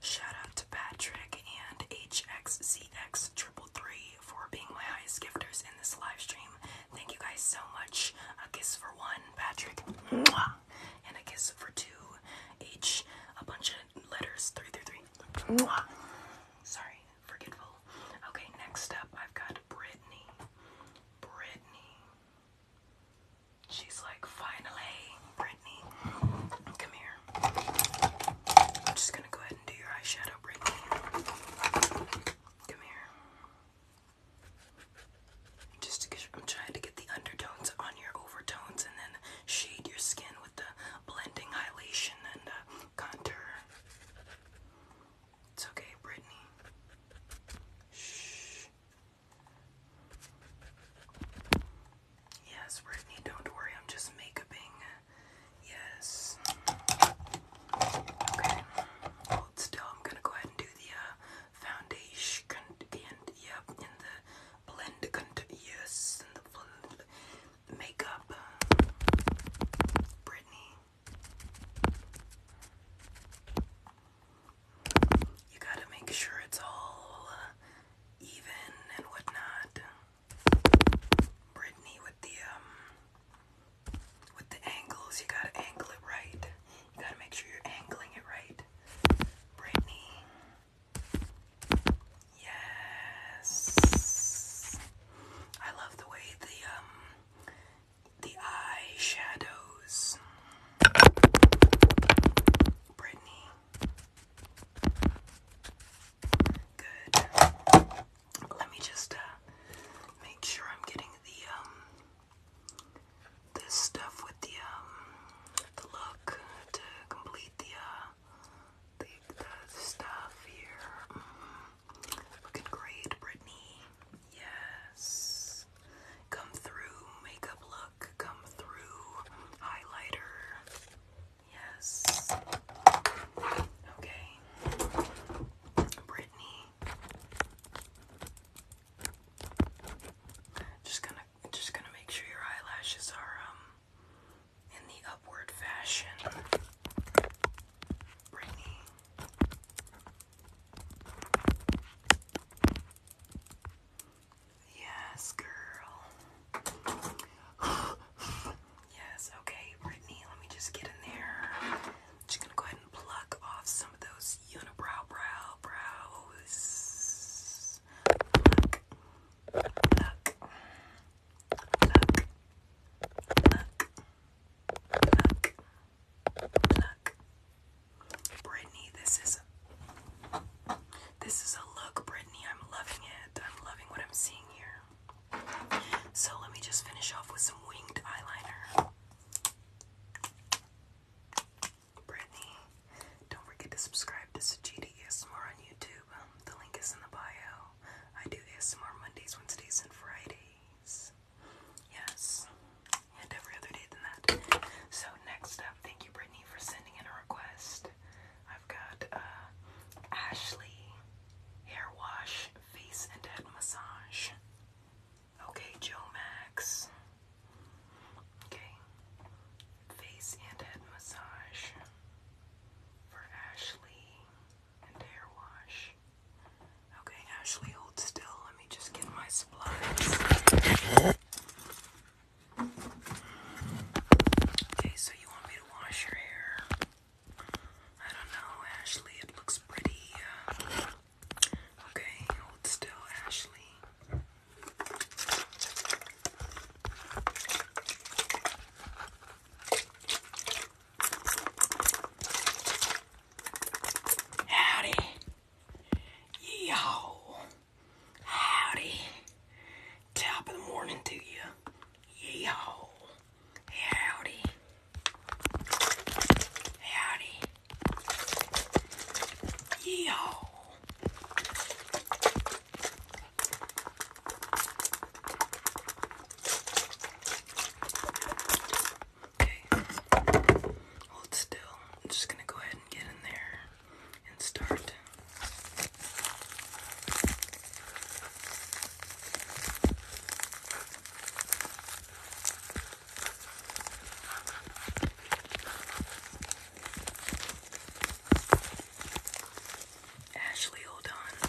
Speaker 1: Shout out to Patrick and HXCX333 for being my highest gifters in this live stream. Thank you guys so much. A kiss for one, Patrick, and a kiss for two, H, a bunch of letters, 333. Mwah. Sorry, forgetful. Okay, next up, I've got Brittany. Brittany. She's like, finally, Brittany, come here. I'm just gonna go ahead and do your eyeshadow, Brittany. Come here. Just to I'm trying to get the undertones on your overtones and then shade your skin with the blending highlightation and contour. It's okay, Brittany. Shh. Yes, Brittany, don't worry, I'm just makeuping. Yes. Okay. still. I'm gonna go ahead and do the uh, foundation and yep, and the blend yes, and the blend makeup. Brittany. You gotta make sure it's all uh, even and whatnot. Brittany with the um with the angles, you gotta angle it right. You gotta make sure you're angling it right. Brittany. Yes. I love the way the um the eye shadows Brittany. Good. Let me just uh, make sure I'm getting the um, this stuff with the um, the look to complete the uh, the, the stuff here. Mm-hmm. Looking great, Brittany. Yes. Come through makeup look come through highlighter. Yes. Okay. Brittany. Just gonna just gonna make sure your eyelashes are um in the upward fashion. Brittany. Yes, girl. yes, okay, Brittany, let me just get in there. just gonna go ahead and pluck off some of those unibrow brow brows. Pluck. Pluck. Pluck. Pluck. Pluck. Pluck. Brittany, this is this is a look, Brittany. I'm loving it. I'm loving what I'm seeing here. So let me just finish off with some winged eyeliner. Brittany, don't forget to subscribe to Sajida ASMR on YouTube. Um, the link is in the bio. I do ASMR Mondays, Wednesdays, and Fridays. Yes, and every other day than that. So next up, thank you, Brittany for sending in a request. I've got uh, Ashley Hair Wash Face and Head Massage. Okay, Joe Max. Okay, Face and Head Massage for Ashley and Hair Wash. Okay, Ashley, hold still. Let me just get my supplies. Okay, so you want me to wash your hair? I don't know, Ashley. It looks pretty. Uh, okay, hold still, Ashley. Howdy. Yo. Howdy. Top of the morning to you. Yeehaw. Howdy. Howdy. Yeehaw. Okay. Hold still. I'm just going to go ahead and get in there and start. Ashley, hold on.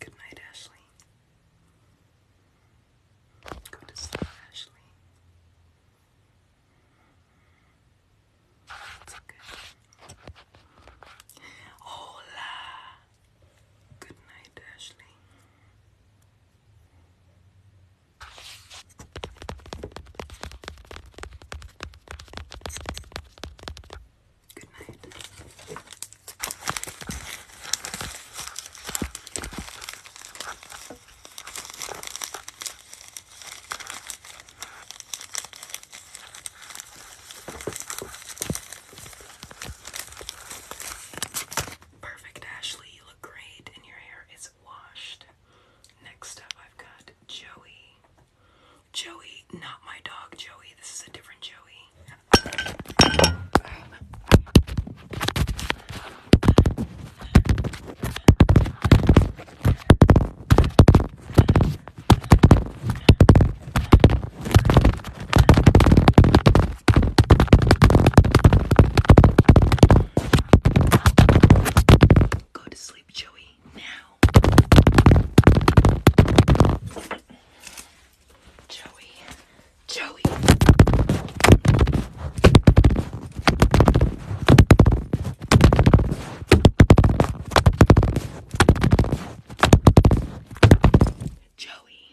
Speaker 2: Good night, Ashley. Go to sleep, Ashley. It's okay. Hola. Good night, Ashley. Good night.
Speaker 1: Perfect, Ashley. You look great, and your hair is washed. Next up, I've got Joey. Joey, not my dog, Joey. This is a different Joey. Go to sleep, Joey, now. Joey, Joey. Joey,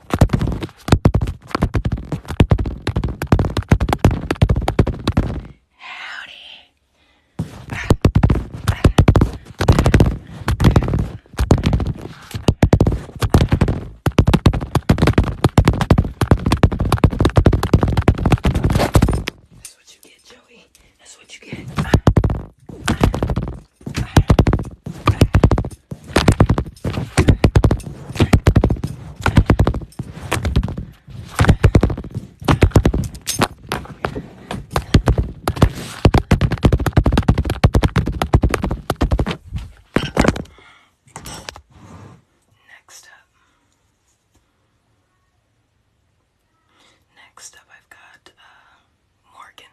Speaker 1: Howdy. That's
Speaker 2: what you get, Joey. That's what you get. Next up, next up, I've got uh, Morgan.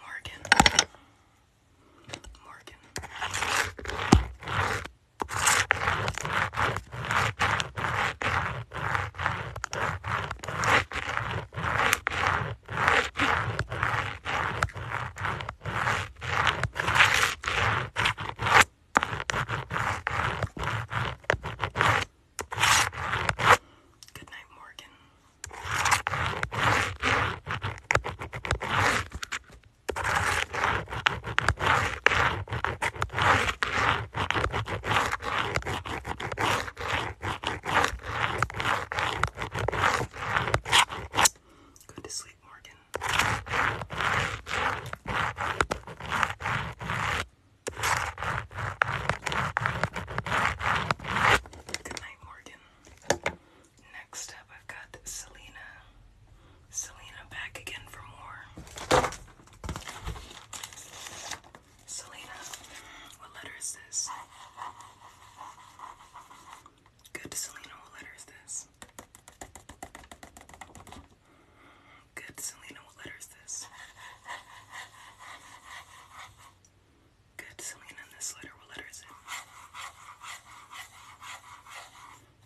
Speaker 2: Morgan. Morgan. Good night, Morgan. Good to sleep, Morgan. Good night, Morgan. Next up, I've got
Speaker 1: Selena. Selena back again for more. Selena, what letter is this? Good, Selena, what letter is this? Good, Selena, what letter is this? Good, something in letter. What letter is it?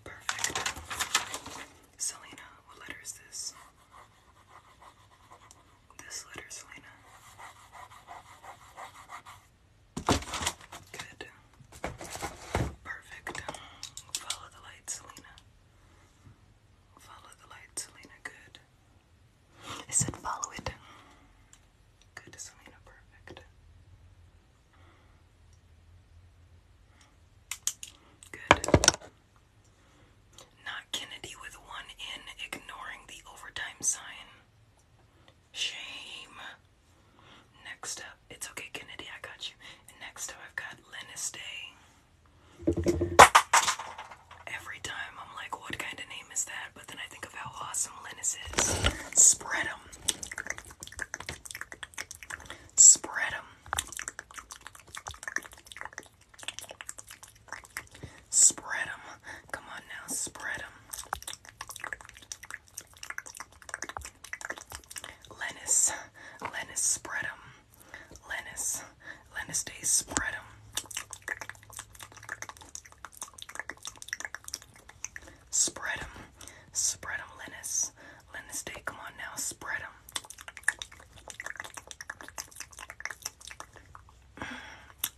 Speaker 1: Perfect. Selena, what letter is this? This letter, Selena. Good. Perfect. Follow the light, Selena. Follow the light, Selena. Good. I said follow it. Good, Selena, perfect. Good. Not Kennedy with one in, ignoring the overtime sign. Shame. Next up, it's okay, Kennedy, I got you. next up, I've got Linus Day. Every time I'm like, what kind of name is that? But then I think of how awesome Linus is. Spread them. Spread them. Spread them. Come on now, spread Lennis. Lennis, spread Lennis. Lennis Day, spread Spread 'em, spread 'em, Spread them, Linus. Linus Day, come on now. spread 'em.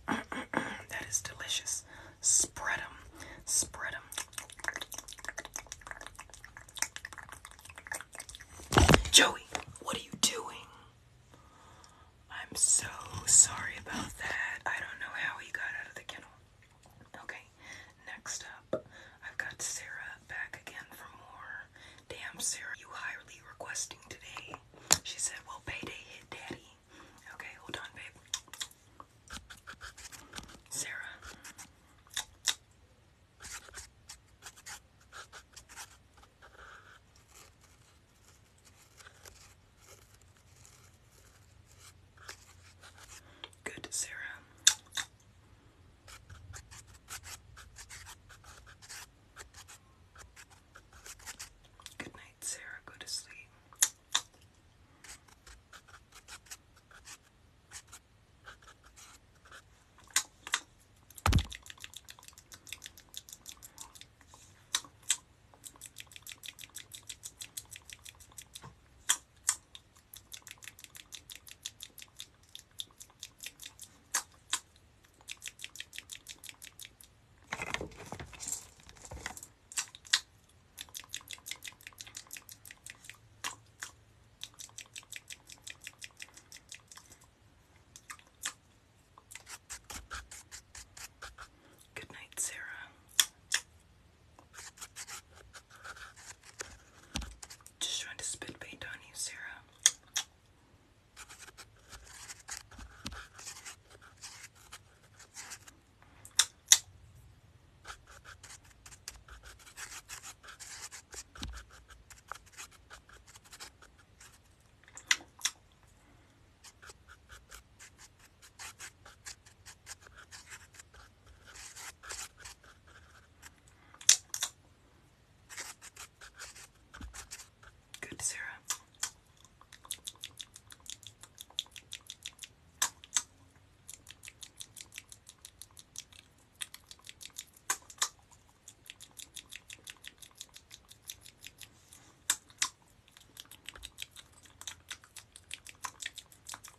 Speaker 1: them. that is delicious. Spread them. Joey, what are you doing? I'm so sorry about that. I don't know how he got out of the kennel. Okay, next up, I've got Sarah back again for more. Damn, Sarah, you highly requesting today. She said, Well, payday hit daddy. Okay, hold on, babe. Sarah. Good, Sarah. Good night, Sarah. Go to sleep. Good night, Sarah. Just trying to spit paint on you, Sarah. Good, Sarah.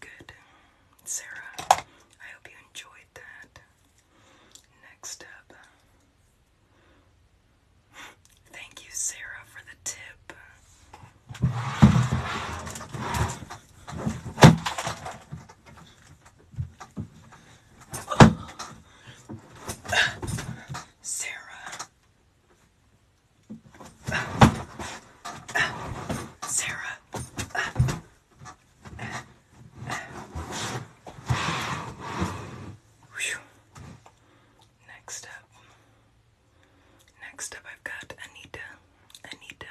Speaker 1: Good. Sarah, I hope you enjoyed that. Next up. Thank you, Sarah, for the tip. Sarah, Sarah. Next up. Next up I've got Anita. Anita.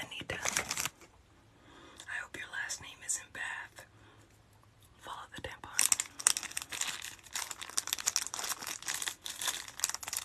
Speaker 1: Anita. I hope your last name isn't Bath. Follow the tampon.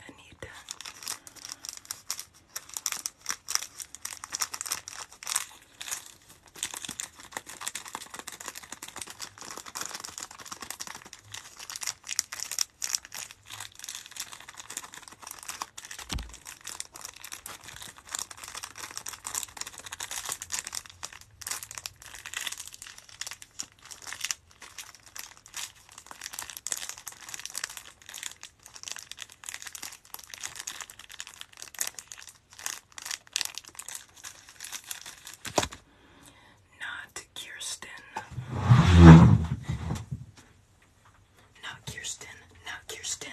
Speaker 1: I need that. Not Kirsten. Not Kirsten. Not Kirsten.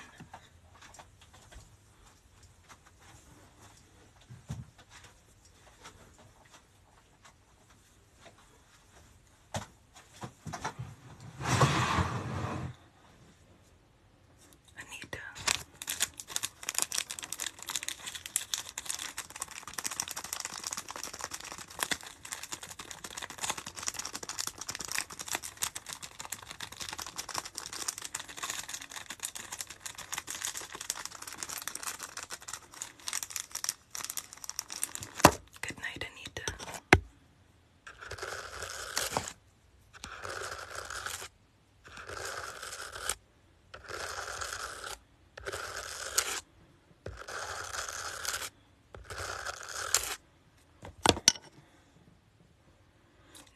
Speaker 1: I need to Good night, Anita.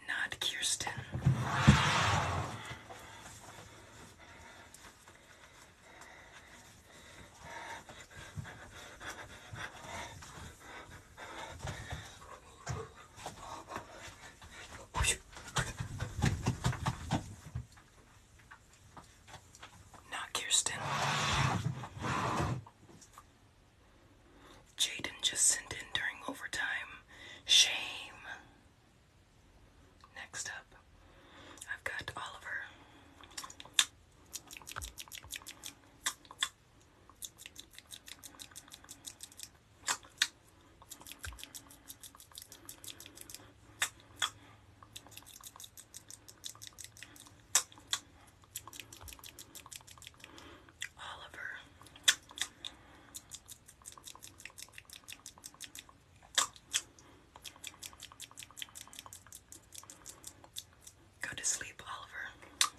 Speaker 1: Not Kirsten. Not Kirsten. Jaden just sent in during overtime. Shame. Next up, I've got Oliver. Oliver. Go to sleep, Oliver.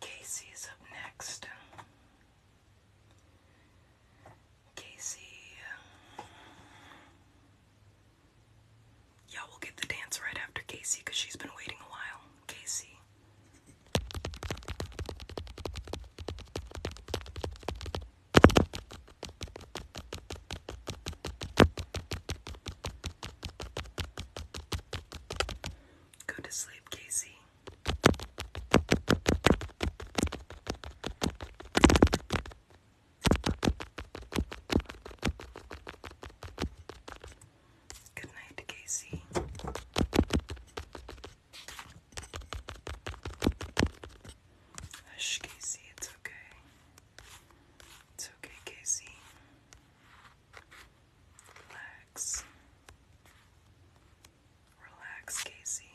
Speaker 1: Casey is up next. Casey. Yeah, we'll get the dance right after Casey because she's been waiting a while. Casey. Go to sleep, Casey. Good night, Casey. Hush, Casey, it's okay. It's okay, Casey. Relax. Relax, Casey.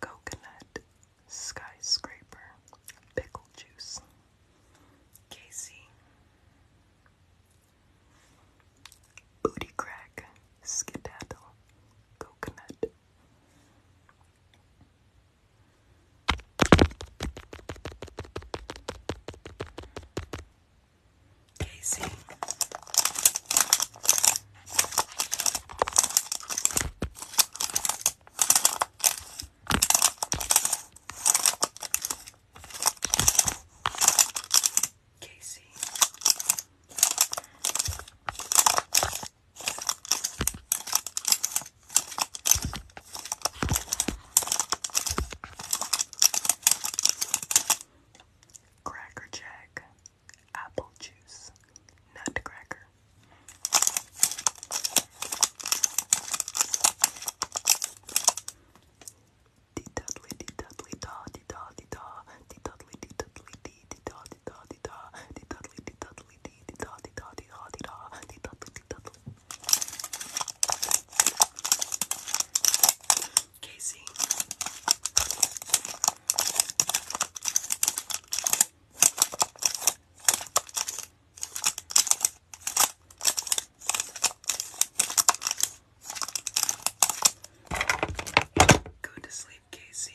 Speaker 1: Coconut skyscraper pickle juice. Casey. Booty crack skedaddle coconut. Casey. Casey. Cracker apple juice, nutcracker. Dee-dudley, dee-dudley, da, dee-da, dee-da, dee-dudley, dee-dudley, dee, Casey. Go to sleep, Casey.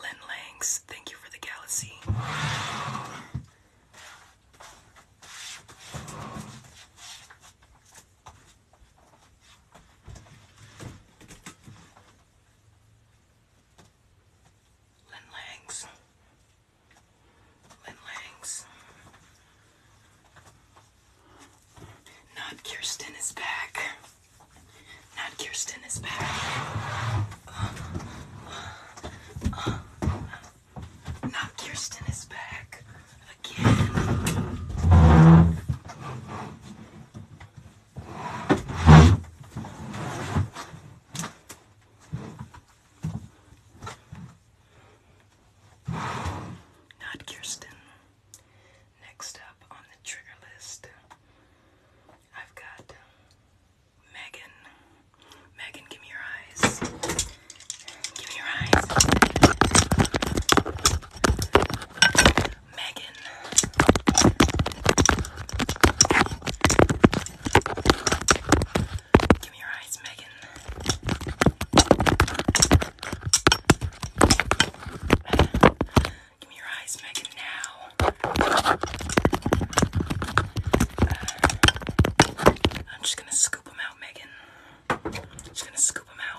Speaker 1: Lynn Langs, thank you for the galaxy. Lin Langs. Not Kirsten is back. Not Kirsten is back. not Kirsten is back again. Not Kirsten. Next up on the trigger list, I've got Megan. Megan, give me your eyes. Give me your eyes. Megan. Give me your eyes, Megan. Give me your eyes, Megan, now. I'm just gonna scoop them out, Megan. I'm just gonna scoop them out.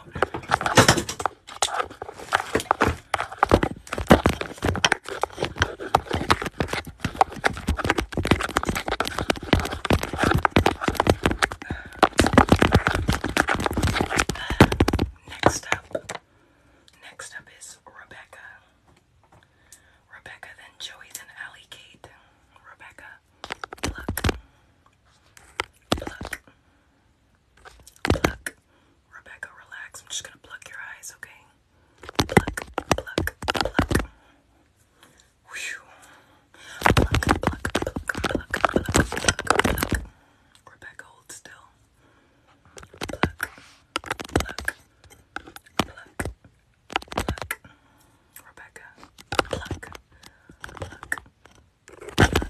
Speaker 1: Next up, next up is Rebecca. Rebecca, then Joey, then Allie Kate. Rebecca, pluck, pluck, pluck. Rebecca, relax. I'm just gonna pluck your eyes, okay? pluck, pluck, pluck. Whew. Pluck, pluck, pluck, pluck, pluck, pluck, pluck. Rebecca, hold still. Pluck, pluck, pluck, pluck. Rebecca, pluck, pluck, pluck, pluck. Pluck, pluck, pluck, pluck.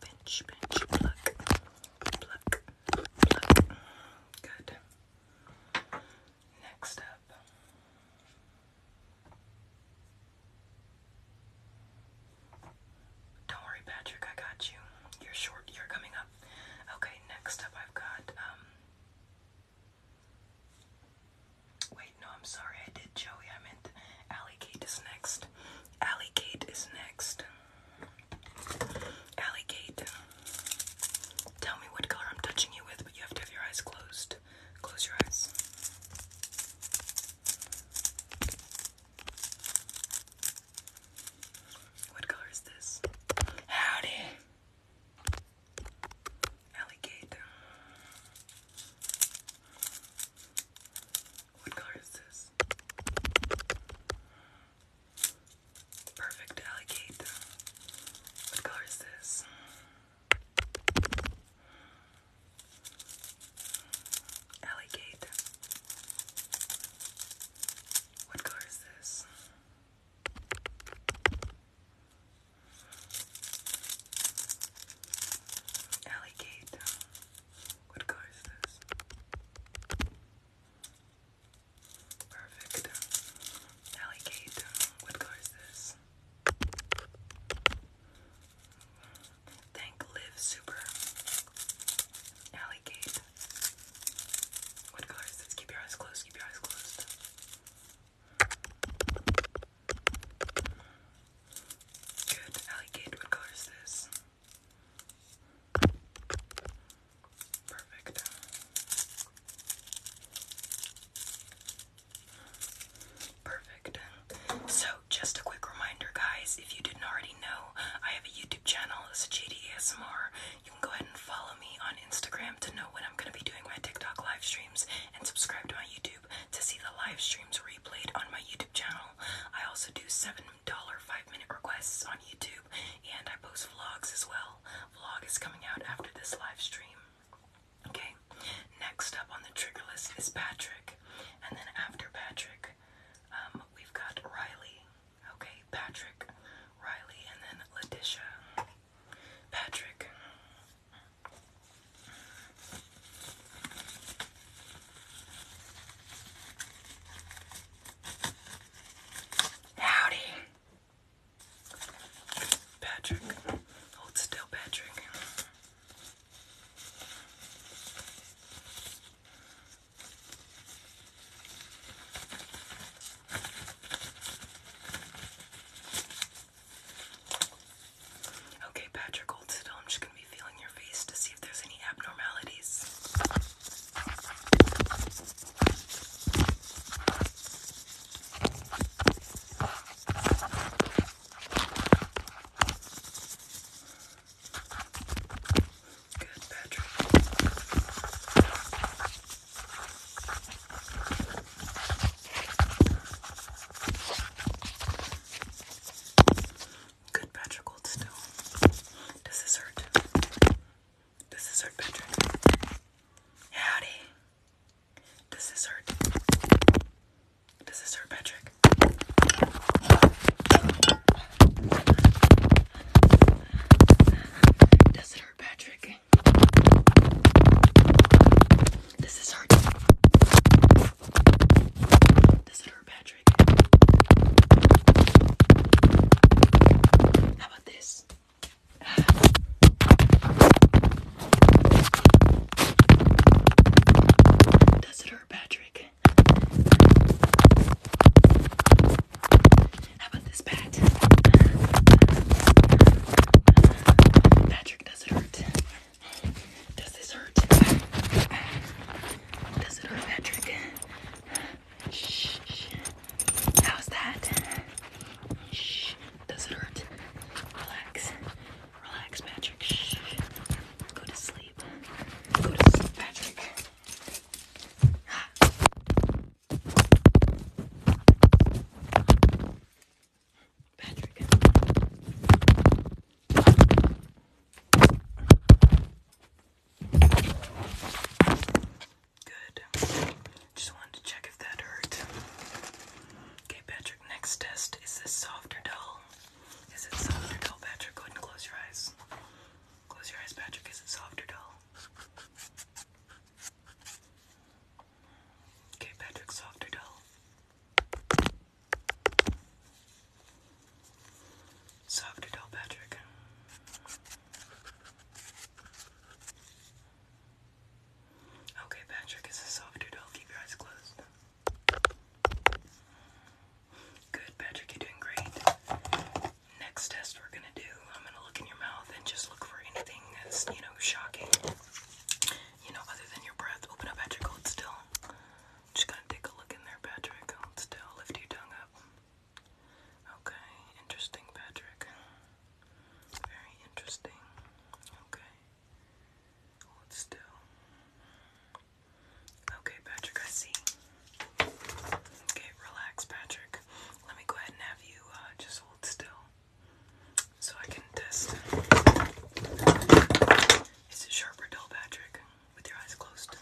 Speaker 1: Pinch, pinch, pluck, pluck, pluck. Next up. Don't worry, Patrick, I got you. You're short, you're coming up. Okay, next up I've got, um, Wait, no, I'm sorry, I did Joey. Diamond. Kate is next. Alley Kate is next. Alley Kate, tell me what color I'm touching you with, but you have to have your eyes closed. Close your eyes. What color is this? Howdy! Alligator. What color is this? Perfect alligator. What color is this? Alligator. What color is this? Alligator. What color is this? Perfect. Alley what color is this? Thank Live Super. Alley What color is this? Keep your eyes closed, keep your eyes closed. Good. Allie what color is this? Perfect. Perfect. So, just a quick reminder, guys, if you didn't already know, I have a YouTube channel, it's JDSMR. You can go ahead and follow me on Instagram to know when I'm going to be doing my TikTok live streams and subscribe to my YouTube. To see the live streams replayed on my YouTube channel, I also do $7 5 minute requests on YouTube and I post vlogs as well. Vlog is coming out after this live stream. Okay, next up on the trigger list is Patrick, and then after Patrick, um, we've got Riley. Okay, Patrick, Riley, and then Letitia. Patrick. Howdy. Patrick. Hold still, Patrick. Okay, Patrick, hold still. I'm just gonna be feeling your face to see if there's any abnormalities. Good, Patrick. Good, Patrick, hold still. Does this hurt? Does this hurt, Patrick? Howdy. Does this hurt? Does this hurt, Patrick? Does it hurt, Patrick? Does this hurt? Does it hurt? Patrick. How about this? Does it hurt, Patrick? How about this, Pat? Patrick, does it hurt? Does this hurt? Does it hurt, Patrick? How's that? Shh. Does it hurt? Relax. Relax, Patrick. Shh. Go to sleep. Go to sleep, Patrick. Patrick. Good. Just wanted to check if that hurt. Okay, Patrick, next test. Is this soft or dull? Is it soft dull, Patrick? Go ahead and close your eyes. Close your eyes, Patrick. Is it soft or dull? Okay, Patrick, soft or dull? Soft to tell Patrick. Okay, Patrick is a soft doodle. Keep your eyes closed. Good, Patrick, you're doing great. Next test we're gonna do, I'm gonna look in your mouth and just look for anything that's, you know, shocking. You know, other than your breath. Open up, Patrick, hold still. Just gonna take a look in there, Patrick. Hold still, lift your tongue up. Okay, interesting, Patrick. Very interesting. Okay. Hold still. Okay, Patrick, I see. Okay, relax, Patrick. Let me go ahead and have you uh, just hold still so I can test. Is it sharp or dull, Patrick? with your eyes closed.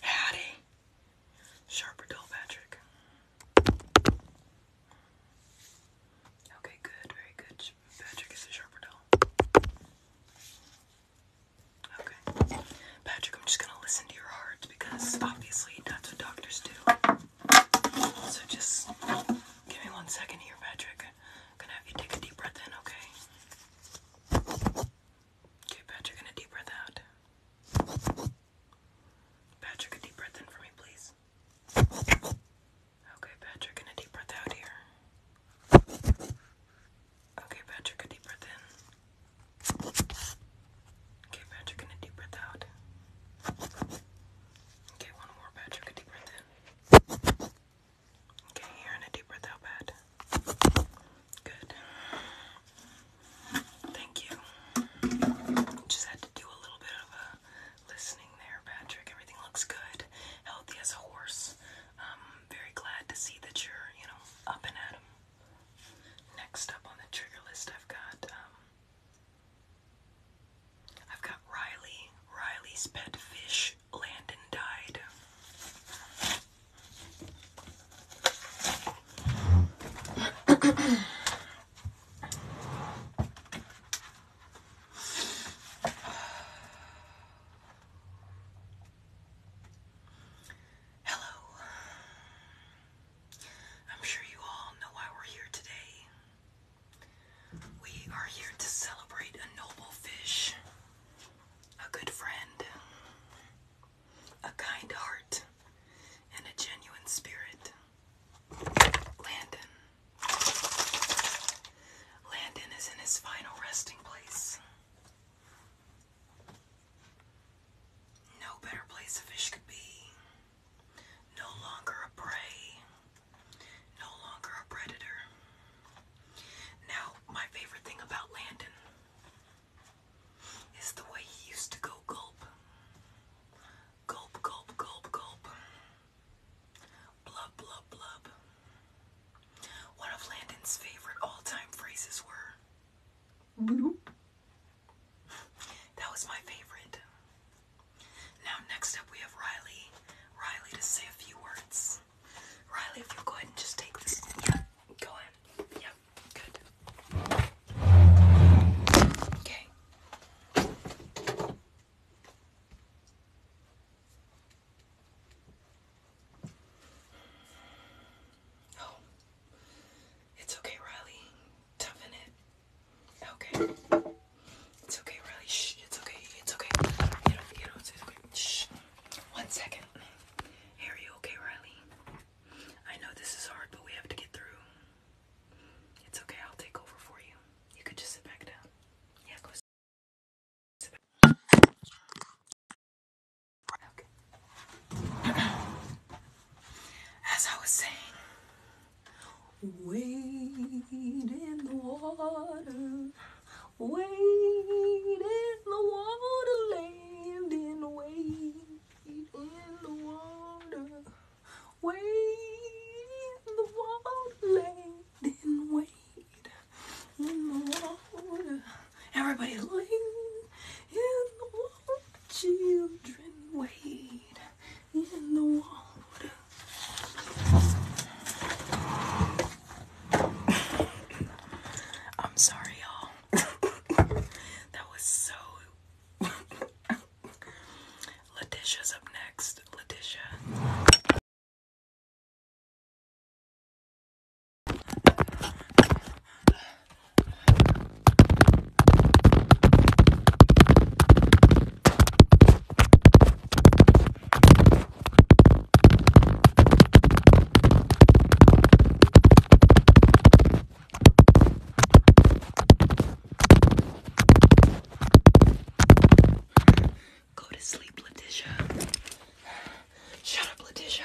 Speaker 1: Howdy. Sharp or dull, Patrick? Okay, good, very good. Patrick is a sharp or dull. Okay. Patrick, I'm just gonna listen to your heart because obviously that's what doctors do. So just give me one second here, Patrick. I'm gonna have you take a deep breath in, okay? Okay, Patrick, and a deep breath out. Patrick, a deep breath in for me, please. Okay, Patrick, and a deep breath out here. Okay, Patrick, a deep breath in. Okay, Patrick, and a deep breath out. Okay, one more, Patrick, a deep breath in. Okay, you're in a deep breath out bad. Good. Thank you. Just had to do a little bit of a listening there, Patrick. Everything looks good. Healthy as a horse. Um, very glad to see that you're, you know, up and at 'em. Next up on the trigger list, I've got um, I've got Riley, Riley's pet fish which Landon died. [CLEARS THROAT] Hello. I'm sure you all know why we're here today. We are here to celebrate a noble fish a good friend, a kind heart, and a genuine spirit. Landon. Landon is in his final resting place. No better place a fish could be. No longer a prey. No longer a predator. Now, my favorite thing about Landon is the way he used to go gulp. Gulp, gulp, gulp, gulp. Blub, blub, blub. One of Landon's favorite all time phrases were bloop. That was my favorite. Now, next up, we have Riley. Riley to say a few words. Riley, if you go ahead and just take this. Yeah, go ahead. yeah, good. Okay. Oh, it's okay, Riley. Toughen it. Okay. It's okay, Riley. Shh. It's okay. It's okay. it's okay. Shh. One second. are you okay, Riley? I know this is hard, but we have to get through. It's okay, I'll take over for you. You could just sit back down. Yeah, go [CLEARS THROAT] As I was saying, wade in the water. Wait in the wonderland and wait in the wonder. Wait in the wonderland and wait
Speaker 2: in the wonder. Everybody wait in the wonder. Children wait in the wonder. [LAUGHS] I'm sorry, y'all. [LAUGHS] that was so. [LAUGHS] Letitia's up next. Letitia. Go to sleep, Letitia.
Speaker 1: Shut up, Letitia.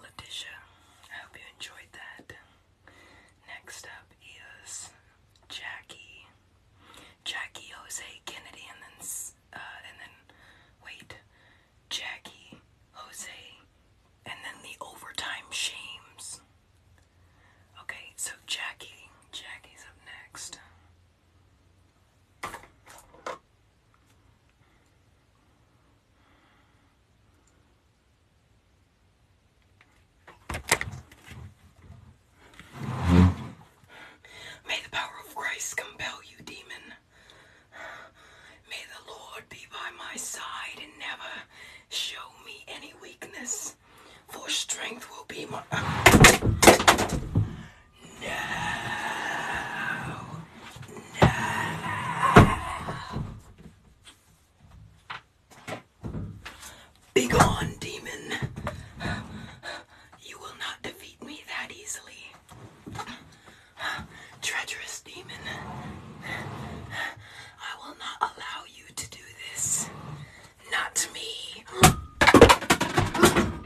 Speaker 1: Letitia, I hope you enjoyed that. Next up is Jackie. Jackie Jose Kennedy and then uh, and then wait. Jackie Jose and then the overtime shames. Okay, so Jackie, Jackie's up next. May the power of Christ compel you, demon. May the Lord be by my side and never show me any weakness, for strength will be my. Begone, demon. You will not defeat me that easily. Treacherous demon. I will not allow you to do this. Not me.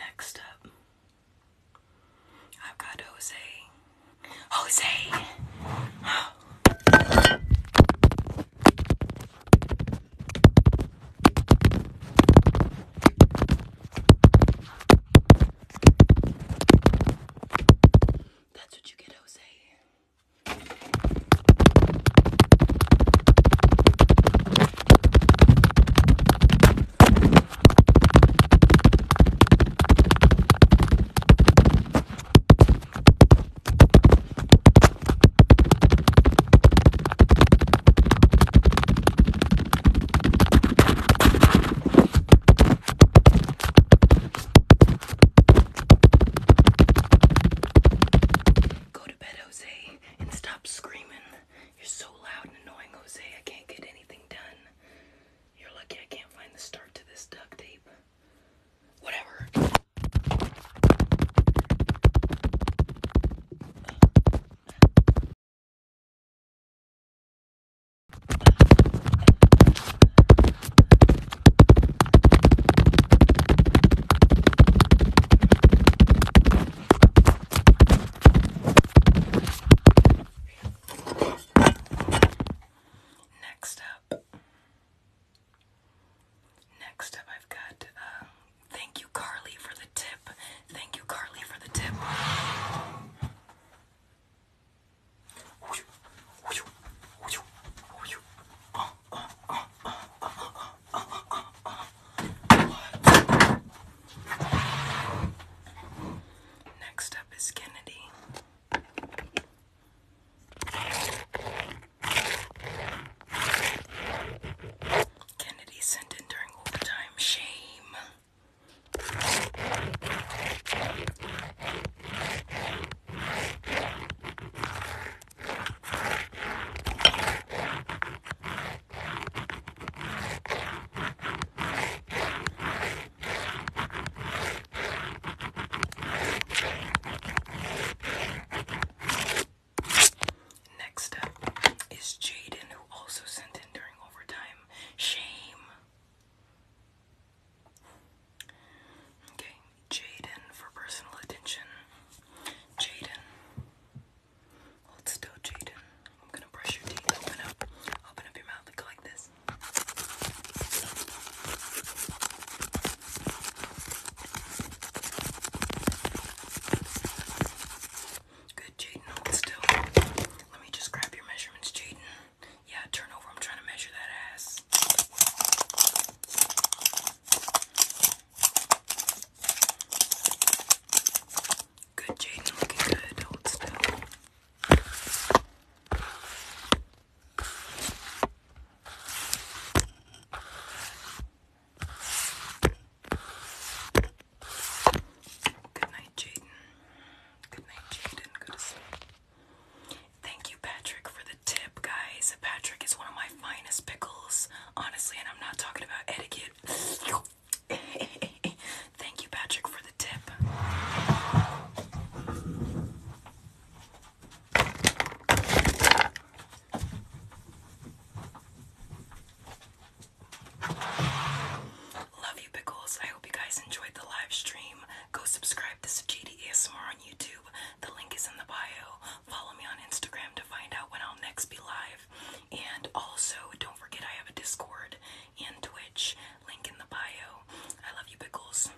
Speaker 1: Next up, I've got Jose. Jose! That's what you get, Jose. Go to bed, Jose, and stop screaming. You're so loud and annoying, Jose. I can't get anything done. You're lucky I can't find the start to this duct tape. Whatever. Next up, next up, I've got. Um, thank you, Carly, for the tip. Thank you, Carly, for the tip. Next up is Kennedy. Kennedy sent in during overtime. Shame.
Speaker 2: Next up is Jaden, who also sent in during overtime. Shame. Okay, Jaden for personal attention. Jaden. Hold still, Jaden. I'm gonna brush your teeth. Open up. Open up your mouth. Look like this. Good, Jaden. Hold still. Let me just grab your measurements, Jaden. Yeah, turn over. I'm trying to measure that ass. Good, Jaden. Looking good. Hold still. Good night, Jaden. Good night, Jaden. Go to sleep. Thank you, Patrick, for the tip, guys. Patrick is one of my finest
Speaker 1: pickles, honestly, and I'm not talking about etiquette. [LAUGHS] Thank you, Patrick, for the tip. Love you, Pickles. I hope you guys enjoyed the live stream. Go subscribe to Sajidi ASMR on YouTube. The link is in the bio. Follow me on Instagram to find out when I'll next be live. And also, don't forget I have a Discord and Twitch. Link in the bio. I love you, Pickles.